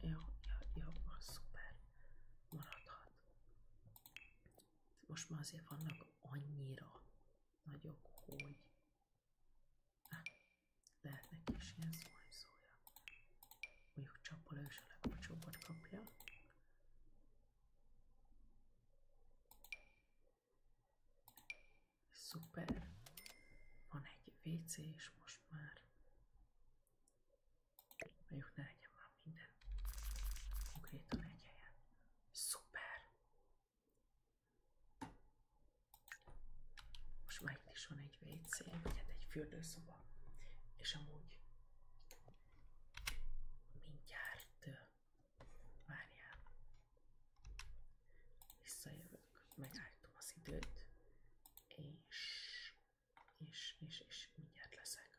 Jó, jó, jó, szuper. Maradhat. Most már azért vannak annyira nagyok, hogy lehet is ilyen zuhanyzója. Mondjuk csapol ő is a kapja. Szuper! Van egy WC is most már. Mondjuk ne legyen már minden konkrétan egy helyen. Szuper! Most már itt is van egy WC, vagy hát egy fürdőszoba, és amúgy mindjárt várjál, visszajövök, megállítom az időt, és, és, és, és mindjárt leszek.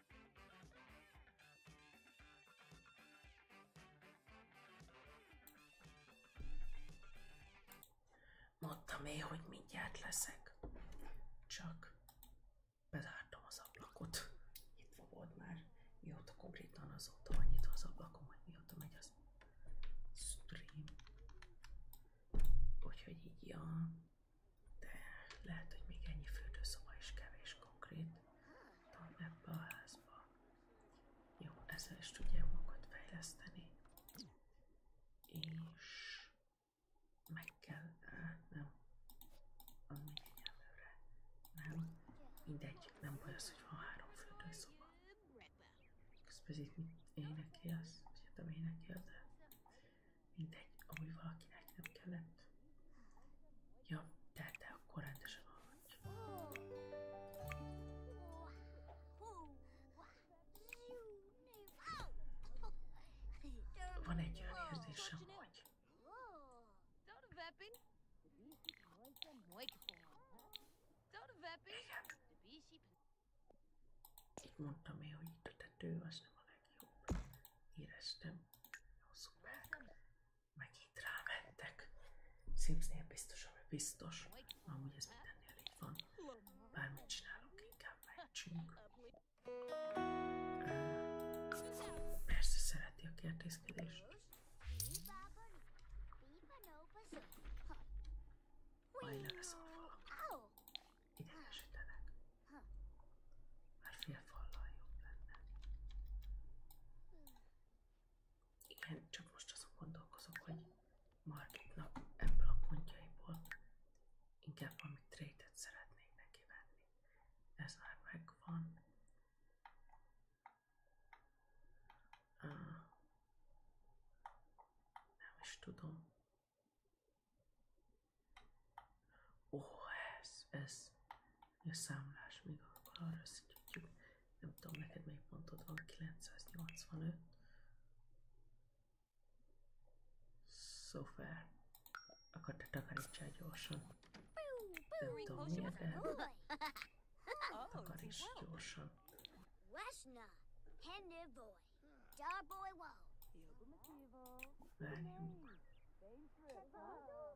Mondtam én, hogy mindjárt leszek. Csak bezártam az ablakot. Itt volt már. Mióta konkrétan az azóta annyit az ablakom, hogy mióta megy az stream. Úgyhogy így, ja. De lehet, hogy még ennyi fürdőszoba is kevés konkrét tudom ebbe a házba. Jó, ezzel is tudják magukat fejleszteni. És meg kell állnom a figyelmőre. Nem, mindegy, nem baj az, hogy van három fürdőszoba. Közben itt mit énekelsz, vagy hát nem énekel, de mindegy, amúgy valakinek nem kellett. Ja, tehát te akkor rendesen aludj. Van egy olyan érzésem, hogy... Igen. Így mondtam én, hogy itt a tető az nem a legjobb. Éreztem. Jó, szuper megint rámentek. Simsnél biztos, hogy biztos. Amúgy ez minden így van. Bármit csinálok inkább mentsünk. Persze szereti a kérdészkedést. Majd leveszem a falat. Idegesítenek. Már fél fallal jobb lenne. Igen, csak most azon gondolkozok, hogy Margitnak ebből a pontjaiból inkább valami trade-et szeretnék neki venni. Ez már megvan. Ah, nem is tudom. Ó, oh, ez, ez, a számlás még akkor arra összegyűjtjük. Nem tudom, neked még pontod van 985. Szofer. Akkor te takarítsál gyorsan. Nem tudom miért, de takaríts gyorsan. Washna, Henry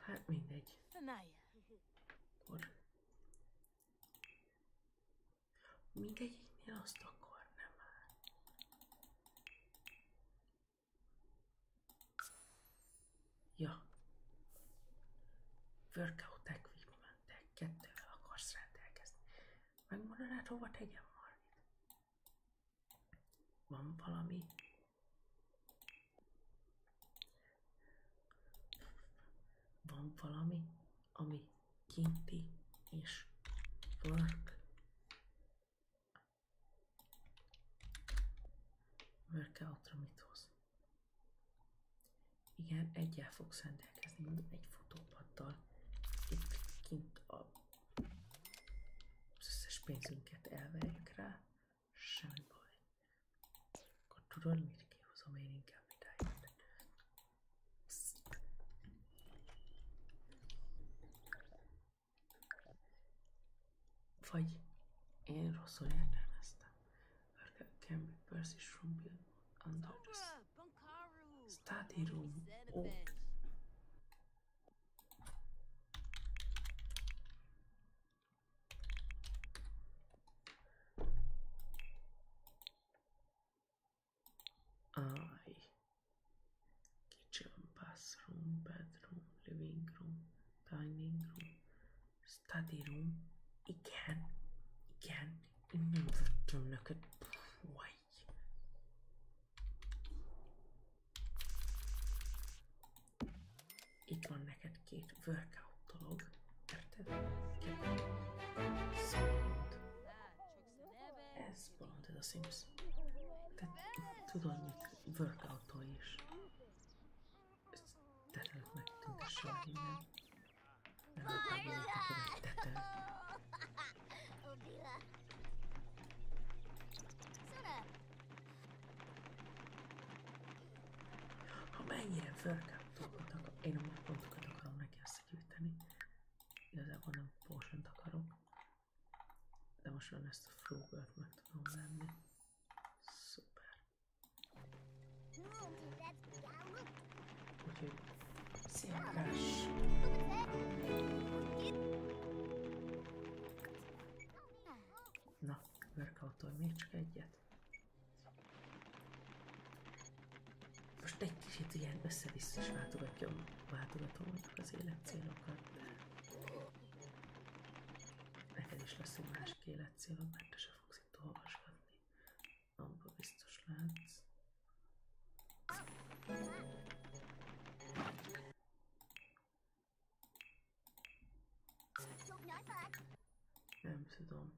Hát mindegy. Akkor. Mindegyiknél azt akkor nem áll. Ja. Workout equipment, kettővel akarsz rendelkezni. Megmondanád, hát hova tegyem Marvin? Van valami? Van valami, ami kinti és work? Workoutra mit hoz? Igen, egyel fogsz rendelkezni, egy futópaddal itt kint a, az összes pénzünket elverjük rá, semmi baj. Akkor tudod, miért kihozom én inkább idáig. Vagy én rosszul értelmeztem. Örgök can be persished from beyond under the sea. Study room. Oh. I kitchen, bathroom, bedroom, living room, dining room, study rogen, igen, igen, innan vörtunöket, why Itt van neked két workout dolog, érted? Szóval ez bolond ez a Sims. Tehát tudod mit, workout is. Ezt terület megtüntesse a minden. Ha mennyire fölkáptolgatok, én a pontokat akarom neki összegyűjteni. Igazából nem potion akarok. De most már ezt a flógört meg tudom venni. Szuper. Move, that's down with Úgyhogy sziakás. Na, workoutol még csak egyet. Most egy kicsit ilyen össze-vissza is váltogatom, váltogatom mondjuk az életcélokat, de neked is lesz egy másik életcélod, mert te se fogsz itt olvasgatni. Nem tudom.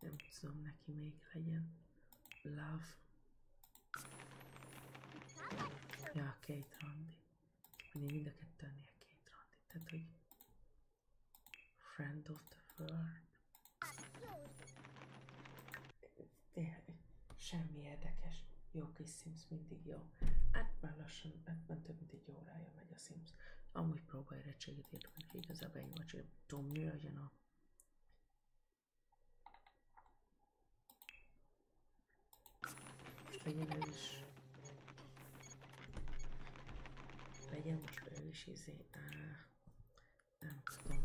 Nem tudom, neki még legyen. Love. Ja, két randi. Én mind a kettőnél két randi. Tehát, hogy Friend of the World. Tényleg, semmi érdekes. Jó kis Sims, mindig jó. Hát már lassan, hát már több mint egy órája megy a Sims. Amúgy próbálj recseget érteni, hogy igazából én vagy, hogy tudom, mi legyen a... Legyen ő is... Legyen most ő is izé... Nem tudom.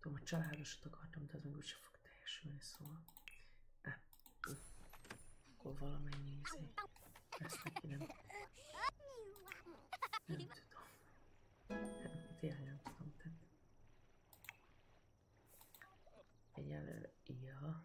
Tudom, a családosat akartam, de az meg úgyse fog teljesülni, szóval. Á, hát, akkor valamennyi izé. Ezt neki nem. Nem tudom. Nem, tényleg nem tudom tenni. Egyelőre, ja.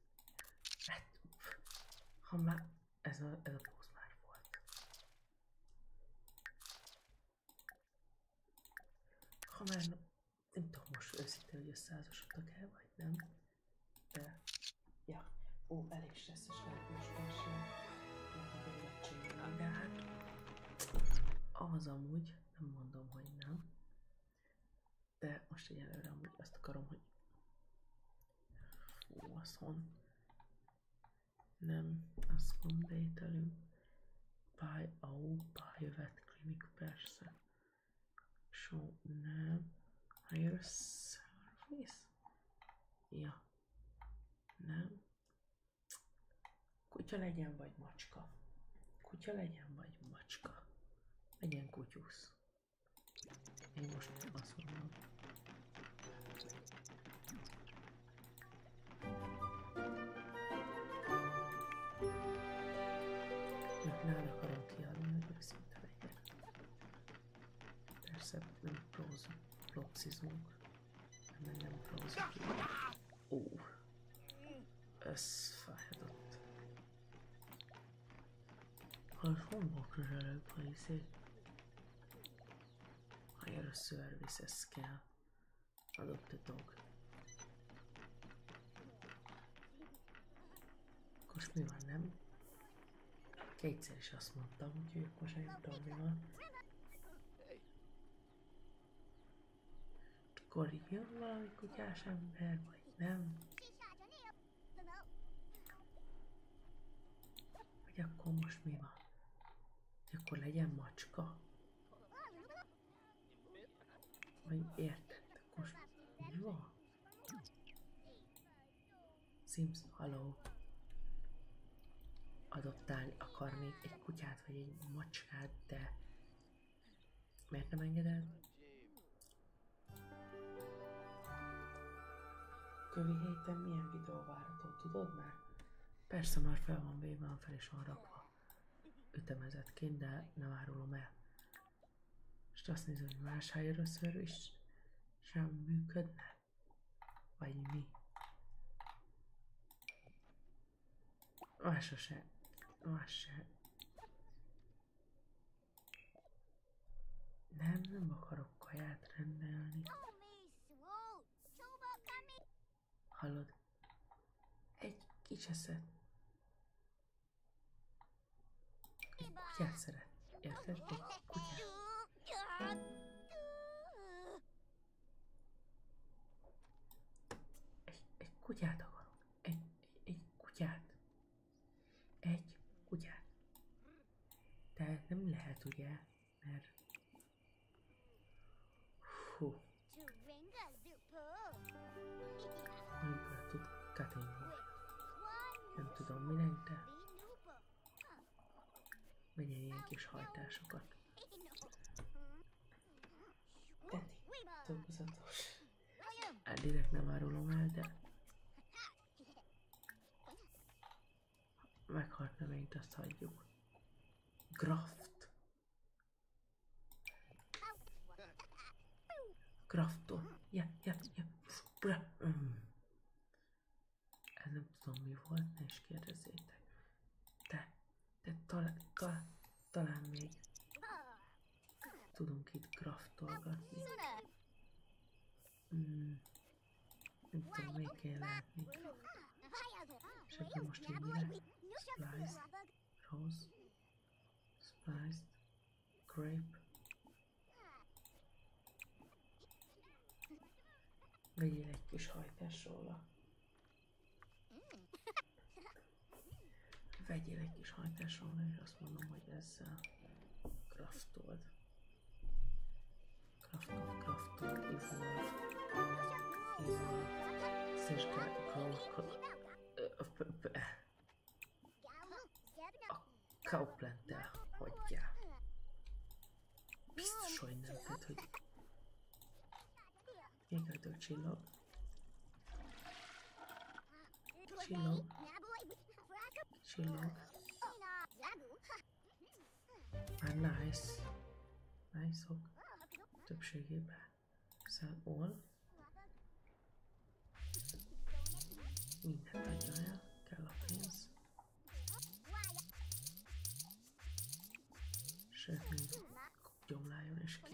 Hát, ha már ez a, ez a póz már volt. Ha már nem tudom most őszintén, hogy összeházasodtak el, vagy nem. De, ja. Ó, elég stresszes lehet most persze. De hát, az amúgy, nem mondom, hogy nem. De most egyelőre amúgy azt akarom, hogy fú, azon nem, azt komplételünk. Buy, ó, oh, buy vet clinic, persze. So, nem. Hire service? Ja. Nem. Kutya legyen, vagy macska. Kutya legyen, vagy macska. Legyen kutyusz. Én most azt mondom. Mert nem akarom kiadni, hogy őszinte legyek. Persze nem Ó, ez fájhatott. Alfomba közelebb a izé. Higher services kell. Adopt a dog. Most mi van, nem? Kétszer is azt mondtam, úgyhogy most nem tudom van. Akkor jön valami kutyás ember, vagy nem? Vagy akkor most mi van? Hogy akkor legyen macska? Vagy érted? most mi van? Sims, hello. Adoptálni akar még egy kutyát vagy egy macskát, de Miért nem engeded? Kövi héten milyen videó várható, tudod már? Persze már fel van véve, a fel és van rakva. Ütemezetként, de nem árulom el. És azt nézem, hogy más először is sem működne. Vagy mi? Más se. Más se. Nem, nem akarok kaját rendelni. Hallod? Egy kicseszet. Egy kutyát szeret. Érted? Egy kutyát. Egy, egy kutyát akarok. egy, egy kutyát. Egy kutyát. Tehát nem lehet, ugye? Mert... Hú. nem tud katinni? Nem tudom, mi lenne, de... Vegyen ilyen kis hajtásokat. Teddy, dolgozatos. Hát direkt nem árulom el, de... Meghalt növényt, azt hagyjuk. Graft. Graftol. Ja, ja, ja. Bra. Mm. Ez nem tudom mi volt, ne is kérdezzétek. Te, te talán, talán, talán még Tudunk itt kraftolgatni. Hmm. Nem tudom, még kell látni. És akkor most így mire? Sliced, rose, spice, grape. Vegyél egy kis hajtás róla. Hmm. Vegyél egy kis hajtásomra, és azt mondom, hogy ezzel kraftold. Kraftold, kraftold, evolve, evolve, szesgál, a kauplettel hagyjál. Biztos, hogy nem, tehát, hogy Jégöltő csillag. Shillong. Shillong. And nice. Nice ok. Többségében. Sell szóval all. Mindent adjon el. Kell a pénz. Sőt, még gyomláljon is ki.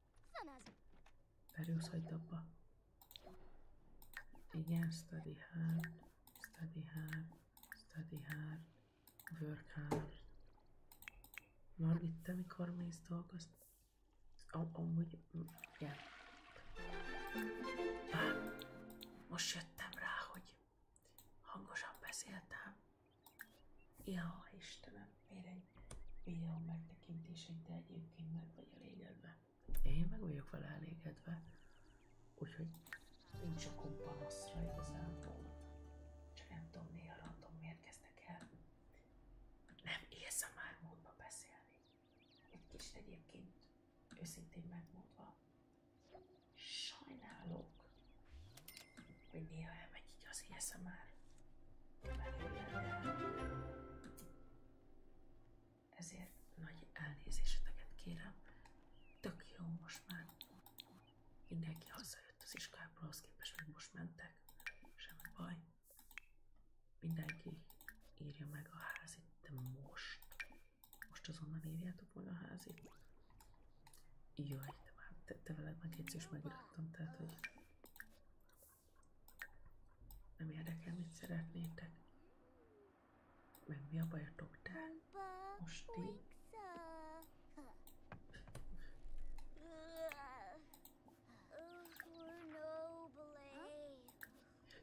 Perius, hagyd abba. Igen, study hard, study hard, study hard, work hard. Margit, te mikor mész dolgozni? Am amúgy, igen. Bár, most jöttem rá, hogy hangosan beszéltem. Ja, Istenem. Miért egy videó megtekintését, de egyébként meg vagy elégedve. Én meg vagyok vele elégedve. Úgyhogy nincs a kompanaszra igazából. Csak nem tudom, néha random miért kezdtek el. Nem élsz a már módba beszélni. Egy kis egyébként őszintén megmondva. Sajnálok, hogy néha elmegy így az ASMR. Belőle, de ezért nagy elnézéseteket kérem. Tök jó most már. Mindenki hazajött az iskából, az képest meg most mentek. Semmi baj. Mindenki írja meg a házit, de most. Most azonnal írjátok volna a házit. Jaj, de már te, te veled megjegyzést megírtam, tehát hogy nem érdekel, mit szeretnétek. Meg mi a bajotok, te? Most ti?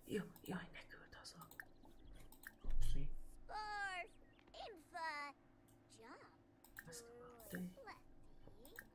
Jó, jaj, ne küld haza. Hopszi. Azt mondta.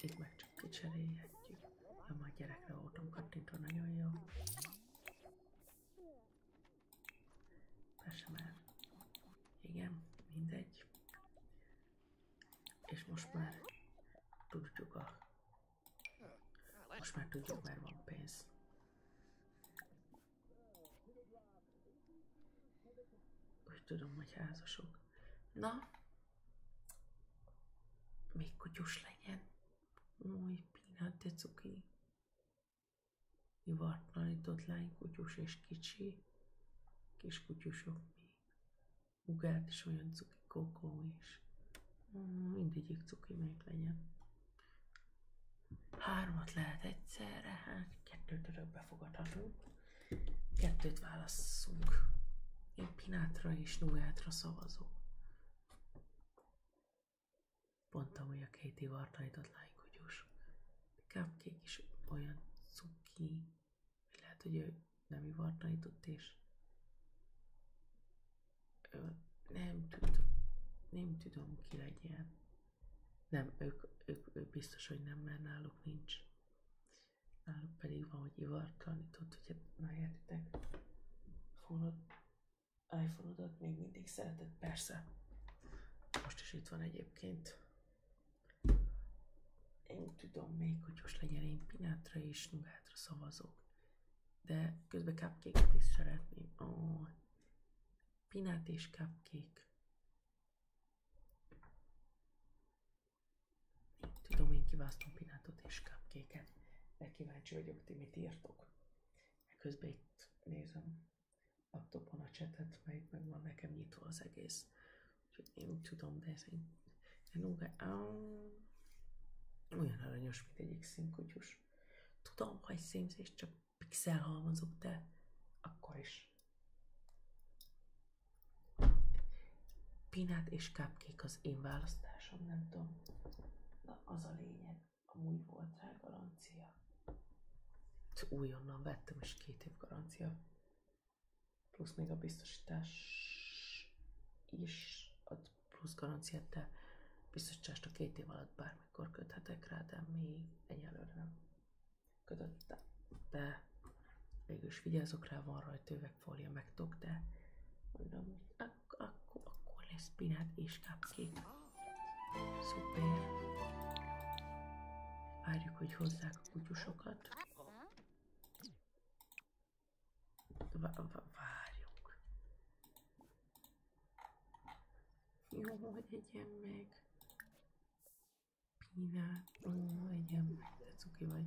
Itt meg csak kicserélhetjük. Ja, majd gyerekre voltam kattintva, nagyon jó. Persze már. Igen, mindegy. És most már tudjuk a... Most már tudjuk, mert van pénz. Úgy tudom, hogy házasok. Na, még kutyus legyen. Új, pillanat, de cuki. Ivartlanított lány kutyus és kicsi. Kis kutyusok még. Ugát is olyan cuki, kokó is. Mm, mindegyik cuki még legyen. Hármat lehet egyszerre, hát kettőt örökbe fogadhatunk. Kettőt válasszunk. Én Pinátra és Nugátra szavazok. Pont hogy a két ivartajtott lájkogyos. Cupcake is olyan cuki, lehet, hogy ő nem ivartajtott, és nem tudom, nem tudom ki legyen. Nem, ők, ők, ők biztos, hogy nem, mert náluk nincs náluk pedig van, hogy ivartalanított, ugye megértitek. Fonod, iPhone-odat még mindig szeretek persze. Most is itt van egyébként. Én tudom még, hogy most legyen én pinátra és nugátra szavazok. De közben cupcake is szeretném. Ó, oh. pinát és cupcake. Tudom, én kiválasztom pinátot és cupcake-et, de kíváncsi vagyok, ti mit írtok. Közben itt nézem laptopon a csetet, meg, meg van nekem nyitva az egész. Úgyhogy én úgy tudom, de ez egy, egy olyan aranyos, mint egyik színkutyus. Tudom, hogy színzés, csak pixel halmazok, de akkor is. Pinát és cupcake az én választásom, nem tudom. Na, az a lényeg. Amúgy volt rá garancia. Újonnan vettem, és két év garancia. Plusz még a biztosítás is ad plusz garanciát, de biztosítást a két év alatt bármikor köthetek rá, de még egyelőre nem kötöttem. De végül is vigyázok rá, van rajta üvegfólia megtok, de mondom, ak ak akkor lesz pinát és cupcake. Szuper. Várjuk, hogy hozzák a kutyusokat. V várjuk. Jó, hogy egyen meg. Pinát. Ó, egyen meg, de cuki vagy.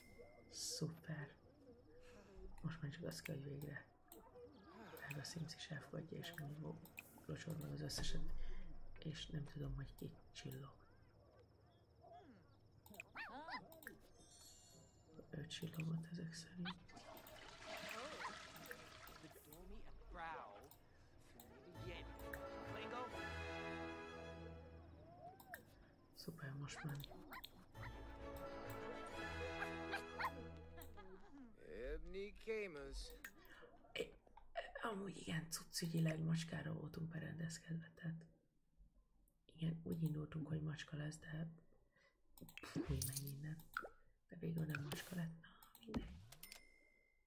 Szuper. Most már csak azt kell, hogy végre Drága Sims is elfogadja, és mindig locsol meg az összeset, és nem tudom, hogy ki csillog. Ő csillogott ezek szerint. Szuper, most már. Amúgy igen, cuccügyileg macskára voltunk berendezkedve, tehát igen, úgy indultunk, hogy macska lesz, de mi meg minden. De végül nem macska lett. Na, mindegy.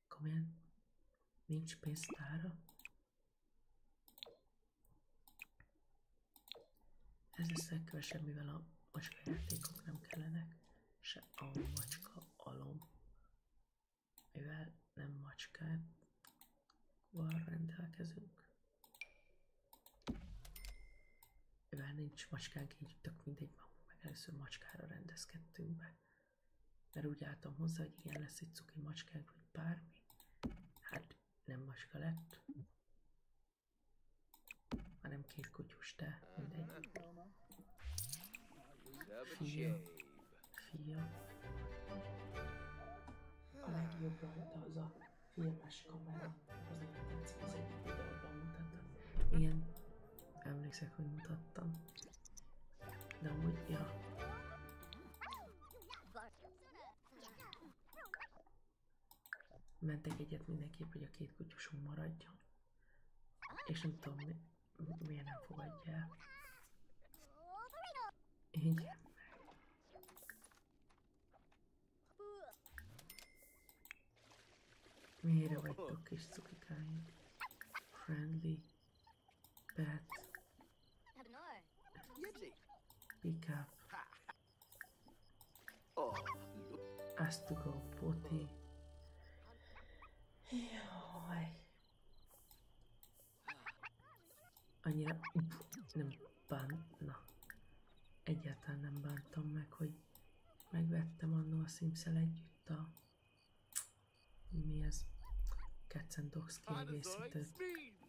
Komolyan, nincs pénztára? Ez lesz legkevesebb, mivel a macskajátékok nem kellenek, se a macska alom, mivel nem macskát van rendelkezünk. Mivel nincs macskánk, így tök mindegy, meg először macskára rendezkedtünk be. Mert úgy álltam hozzá, hogy igen, lesz egy cuki macskánk, bármi. Hát nem maska lett, hanem két kutyus, de mindegy. Fia. Fia. A legjobb rajta az a filmes kamera. Az nagyon tetszik, az egyik videóban mutattam. Ilyen, emlékszek, hogy mutattam. De amúgy, ja. Mentek egyet mindenképp, hogy a két kutyusunk maradjon. És nem tudom, mi, miért nem fogadja el. Így. Miért vagytok kis cukikáim? Friendly. Pet. Pick up. Has to go potty. Jaj. Annyira nem bánt, na. Egyáltalán nem bántam meg, hogy megvettem annó a Simszel együtt a... Mi ez? Cats and Dogs kiegészítőt.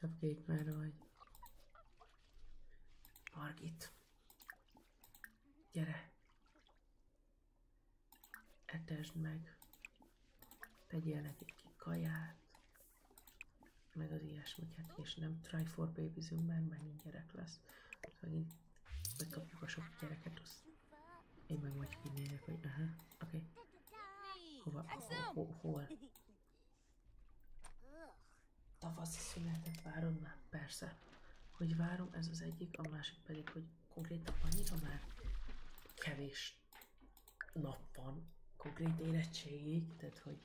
Cupcake merre vagy? Margit. Gyere. Etesd meg. Tegyél nekik kaját. Meg az ilyesmiket. Hát, és nem try for babyzünk, mert megint gyerek lesz. Megint szóval bekapjuk a sok gyereket, azt Em mà ngồi nhìn này vậy đó hả? Ok. Hova, hova, hova? Tavasz szünetet várom már, persze. Hogy várom, ez az egyik, a másik pedig, hogy konkrétan annyira már kevés nap van konkrét érettségig, tehát hogy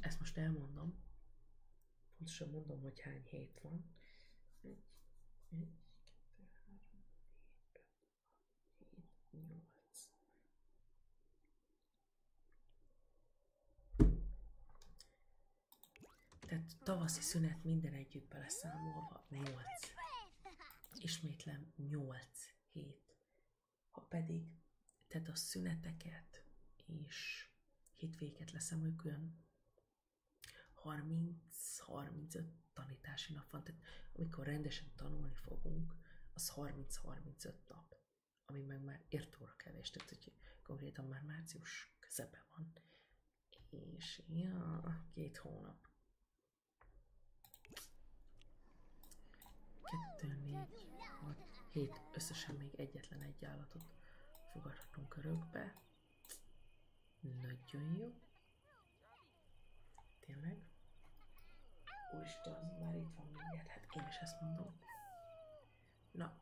ezt most elmondom, pontosan mondom, hogy hány hét van. Tehát tavaszi szünet minden együtt beleszámolva 8. Ismétlem 8 hét. Ha pedig tehát a szüneteket és hétvéget leszem külön 30-35 tanítási nap van, tehát amikor rendesen tanulni fogunk, az 30-35 nap, ami meg már ért kevés, tehát hogy konkrétan már március közepe van, és ja, két hónap. Kettő, négy, hat, hét, összesen még egyetlen egy állatot fogadhatunk örökbe. Nagyon jó. Tényleg? Úristen, az már itt van mindjárt. Hát én is ezt mondom. Na.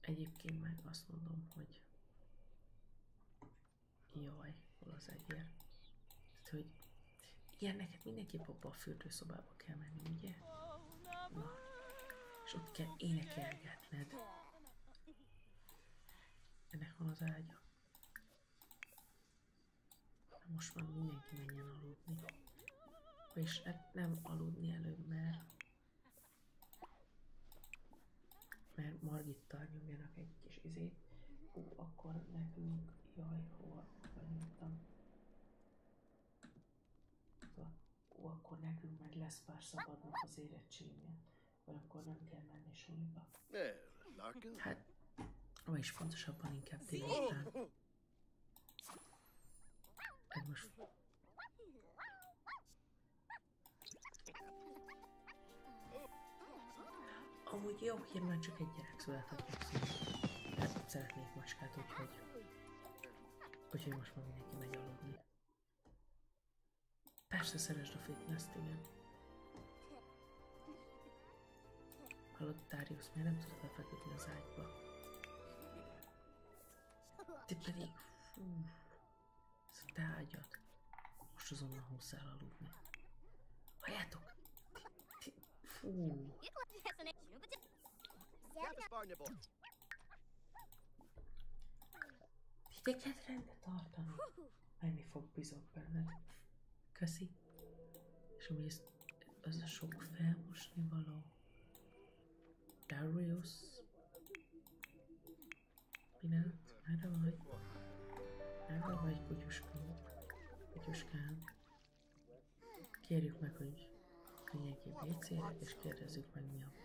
Egyébként meg azt mondom, hogy jaj, hol az egyér? Tehát, hogy igen, neked mindenképp abba a fürdőszobába kell menni, ugye? Na. És ott kell énekelgetned. Ennek van az ágya. Na most már mindenki menjen aludni. És hát nem aludni előbb, mert mert Margitta nyomjanak egy kis izét. Hú, akkor nekünk, jaj, hol vagyunk? Szóval ó, akkor nekünk meg lesz pár szabadnak az érettségnél, vagy akkor nem kell menni suliba. Hát, vagyis fontosabban inkább délután. Hát Amúgy jó hogy mert csak egy gyerek született Hát szóval szeretnék macskát, úgyhogy... Úgyhogy most már mindenki megy aludni. Persze szeresd a fitness-t, igen. Hallod, Darius, miért nem tudod lefeküdni az ágyba? Te pedig... Hú, ez a te Most azonnal húsz el aludni. Halljátok! Ti, fú. Figyelj, rendet tartani. Menni fog, bízok benned. Köszi. És mi ez, az a sok felmosni való? Darius? nem? merre vagy? Merre vagy, kutyuskám? Kutyuskám? Kérjük meg, hogy menjünk ki WC-re, és kérdezzük meg, mi a baj.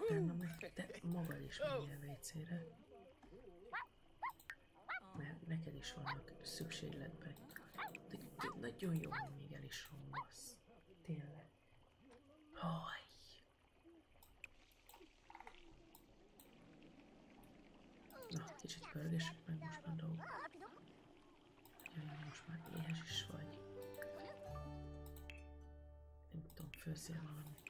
Utána meg te magad is menjél vécére. Mert neked is vannak szükségletben. De, de nagyon jó, hogy még el is rombasz. Tényleg. Haj! Na, kicsit pörgessük meg most már dolgok. Jaj, most már éhes is vagy. Nem tudom, főszél valamit.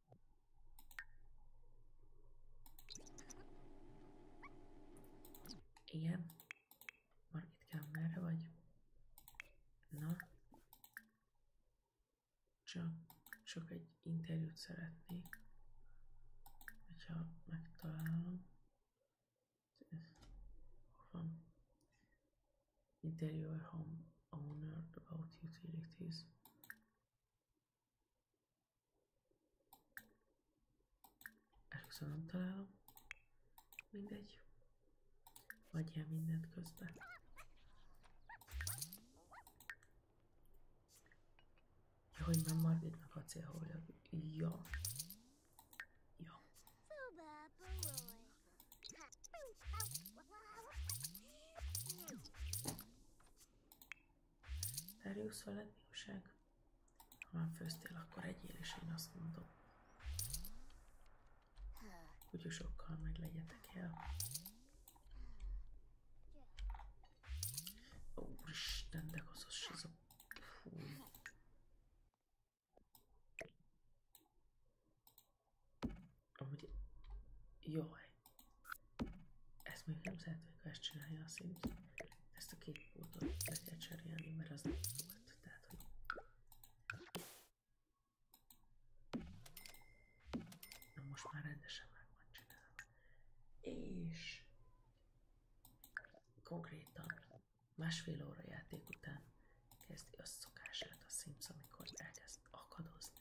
Igen. Marketkám, merre vagy? Na. Csak, csak egy interjút szeretnék. Hogyha megtalálom. Hol van? Interior home owner about utilities. Először nem találom. Mindegy. Adjál mindent közben. Ja, hogy nem Margitnak a célhólag. Ja. Ja. Darius veled mi újság? Ha már főztél, akkor egyél, és én azt mondom. Kutyusokkal meg legyetek el. Úristen, de koszos az a... Fúj. Jó, Jaj. Ez még nem szeretnék, ha ezt a szín. Ezt a két pontot le kell cserélni, mert az nem volt. Tehát, hogy... Na most már rendesen meg van csinálva. És... Konkrétan másfél óra játék után kezdi a szokását a Sims, amikor elkezd akadozni,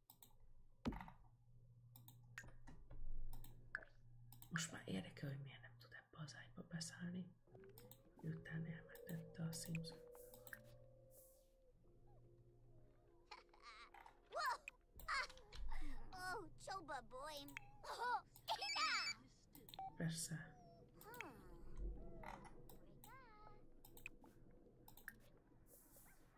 Most már érdekel, hogy miért nem tud ebbe az ágyba beszállni, miután elmentette a Simpson. Persze. Hmm.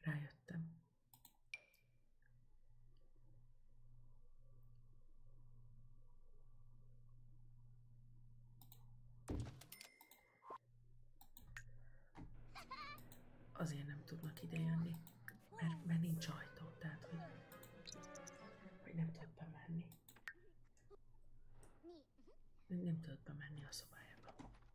Rájöttem. Azért nem tudnak idejönni, mert, mert nincs ajtó, hogy, nem tudtam menni. Nem tudod bemenni a szobájába.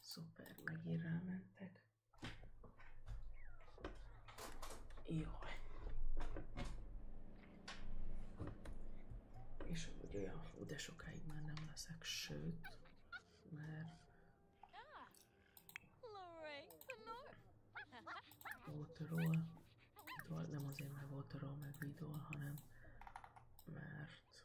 Szuper, megint rámentek. Jaj. És amúgy olyan hú, de sokáig már nem leszek, sőt, mert... Waterról, nem azért, mert Waterról meg Vidol, hanem mert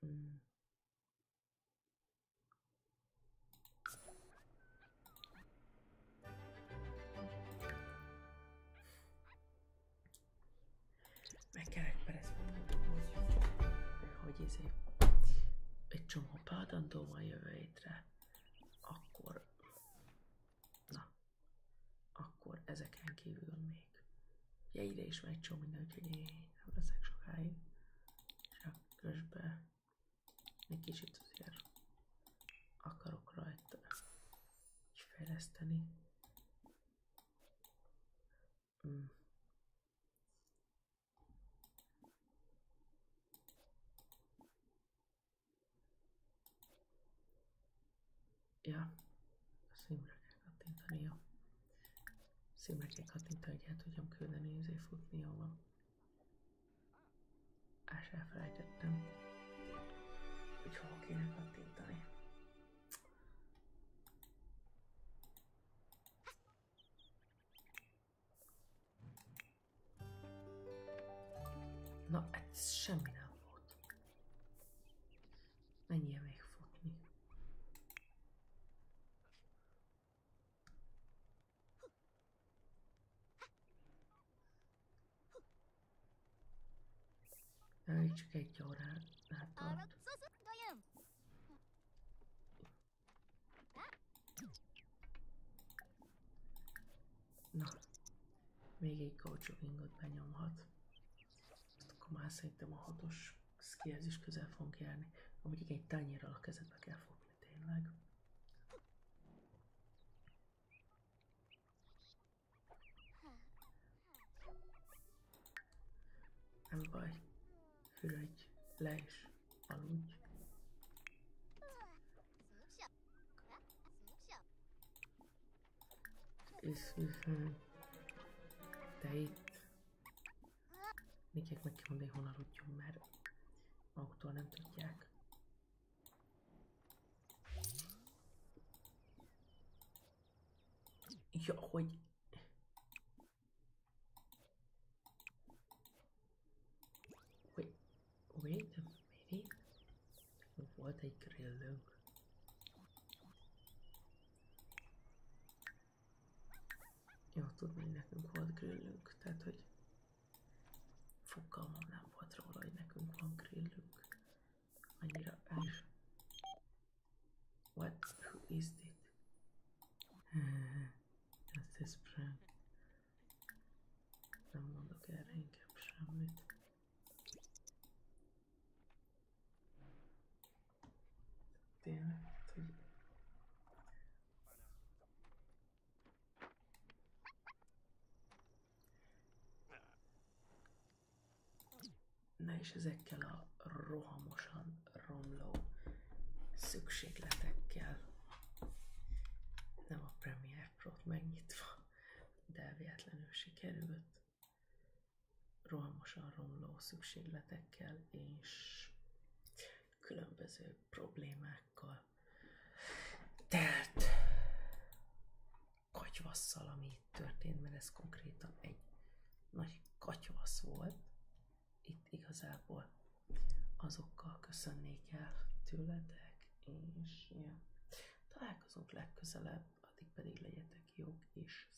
嗯，meg kellett egy csomó pádandó van jövő hétre, akkor na, akkor ezeken kívül még Ugye ide is megy csomó mindent, hogy sokáig. Csak közben egy kicsit azért akarok rajta fejleszteni. Mm. Ja, a színre kell kattintania. hogy el tudjam küldeni, ezért futni jól. Ás elfelejtettem, hogy hol kéne kattintani. Na, ez semmi nem volt. Menjél még futni. Elég csak egy órát tart. Hát Na, még egy coaching benyomhat. Ezt akkor már szerintem a hatos szkihez is közel fogunk járni. Amúgy igen, egy tányérral a kezedbe kell fogni tényleg. Nem baj. Hürödj, le is aludj. És te itt Mindjárt meg kell még honnan aludjon, mert maguktól nem tudják. Ja, hogy... Wait, wait a minute. Volt egy grillünk. Jó, tud még nekünk volt grillünk, tehát hogy fogalmam nem volt róla, hogy nekünk van grillünk. Annyira el is. What? Who is it? Ez is Nem mondok erre semmit. Tényleg, Na és ezekkel a rohamosan romló szükségletekkel nem a Premiere Pro-t megnyitva, de véletlenül sikerült rohamosan romló szükségletekkel és különböző problémákkal telt katyvasszal, ami történt, mert ez konkrétan egy nagy katyvasz volt. Itt igazából azokkal köszönnék el tőletek, és találkozunk legközelebb, addig pedig legyetek jók és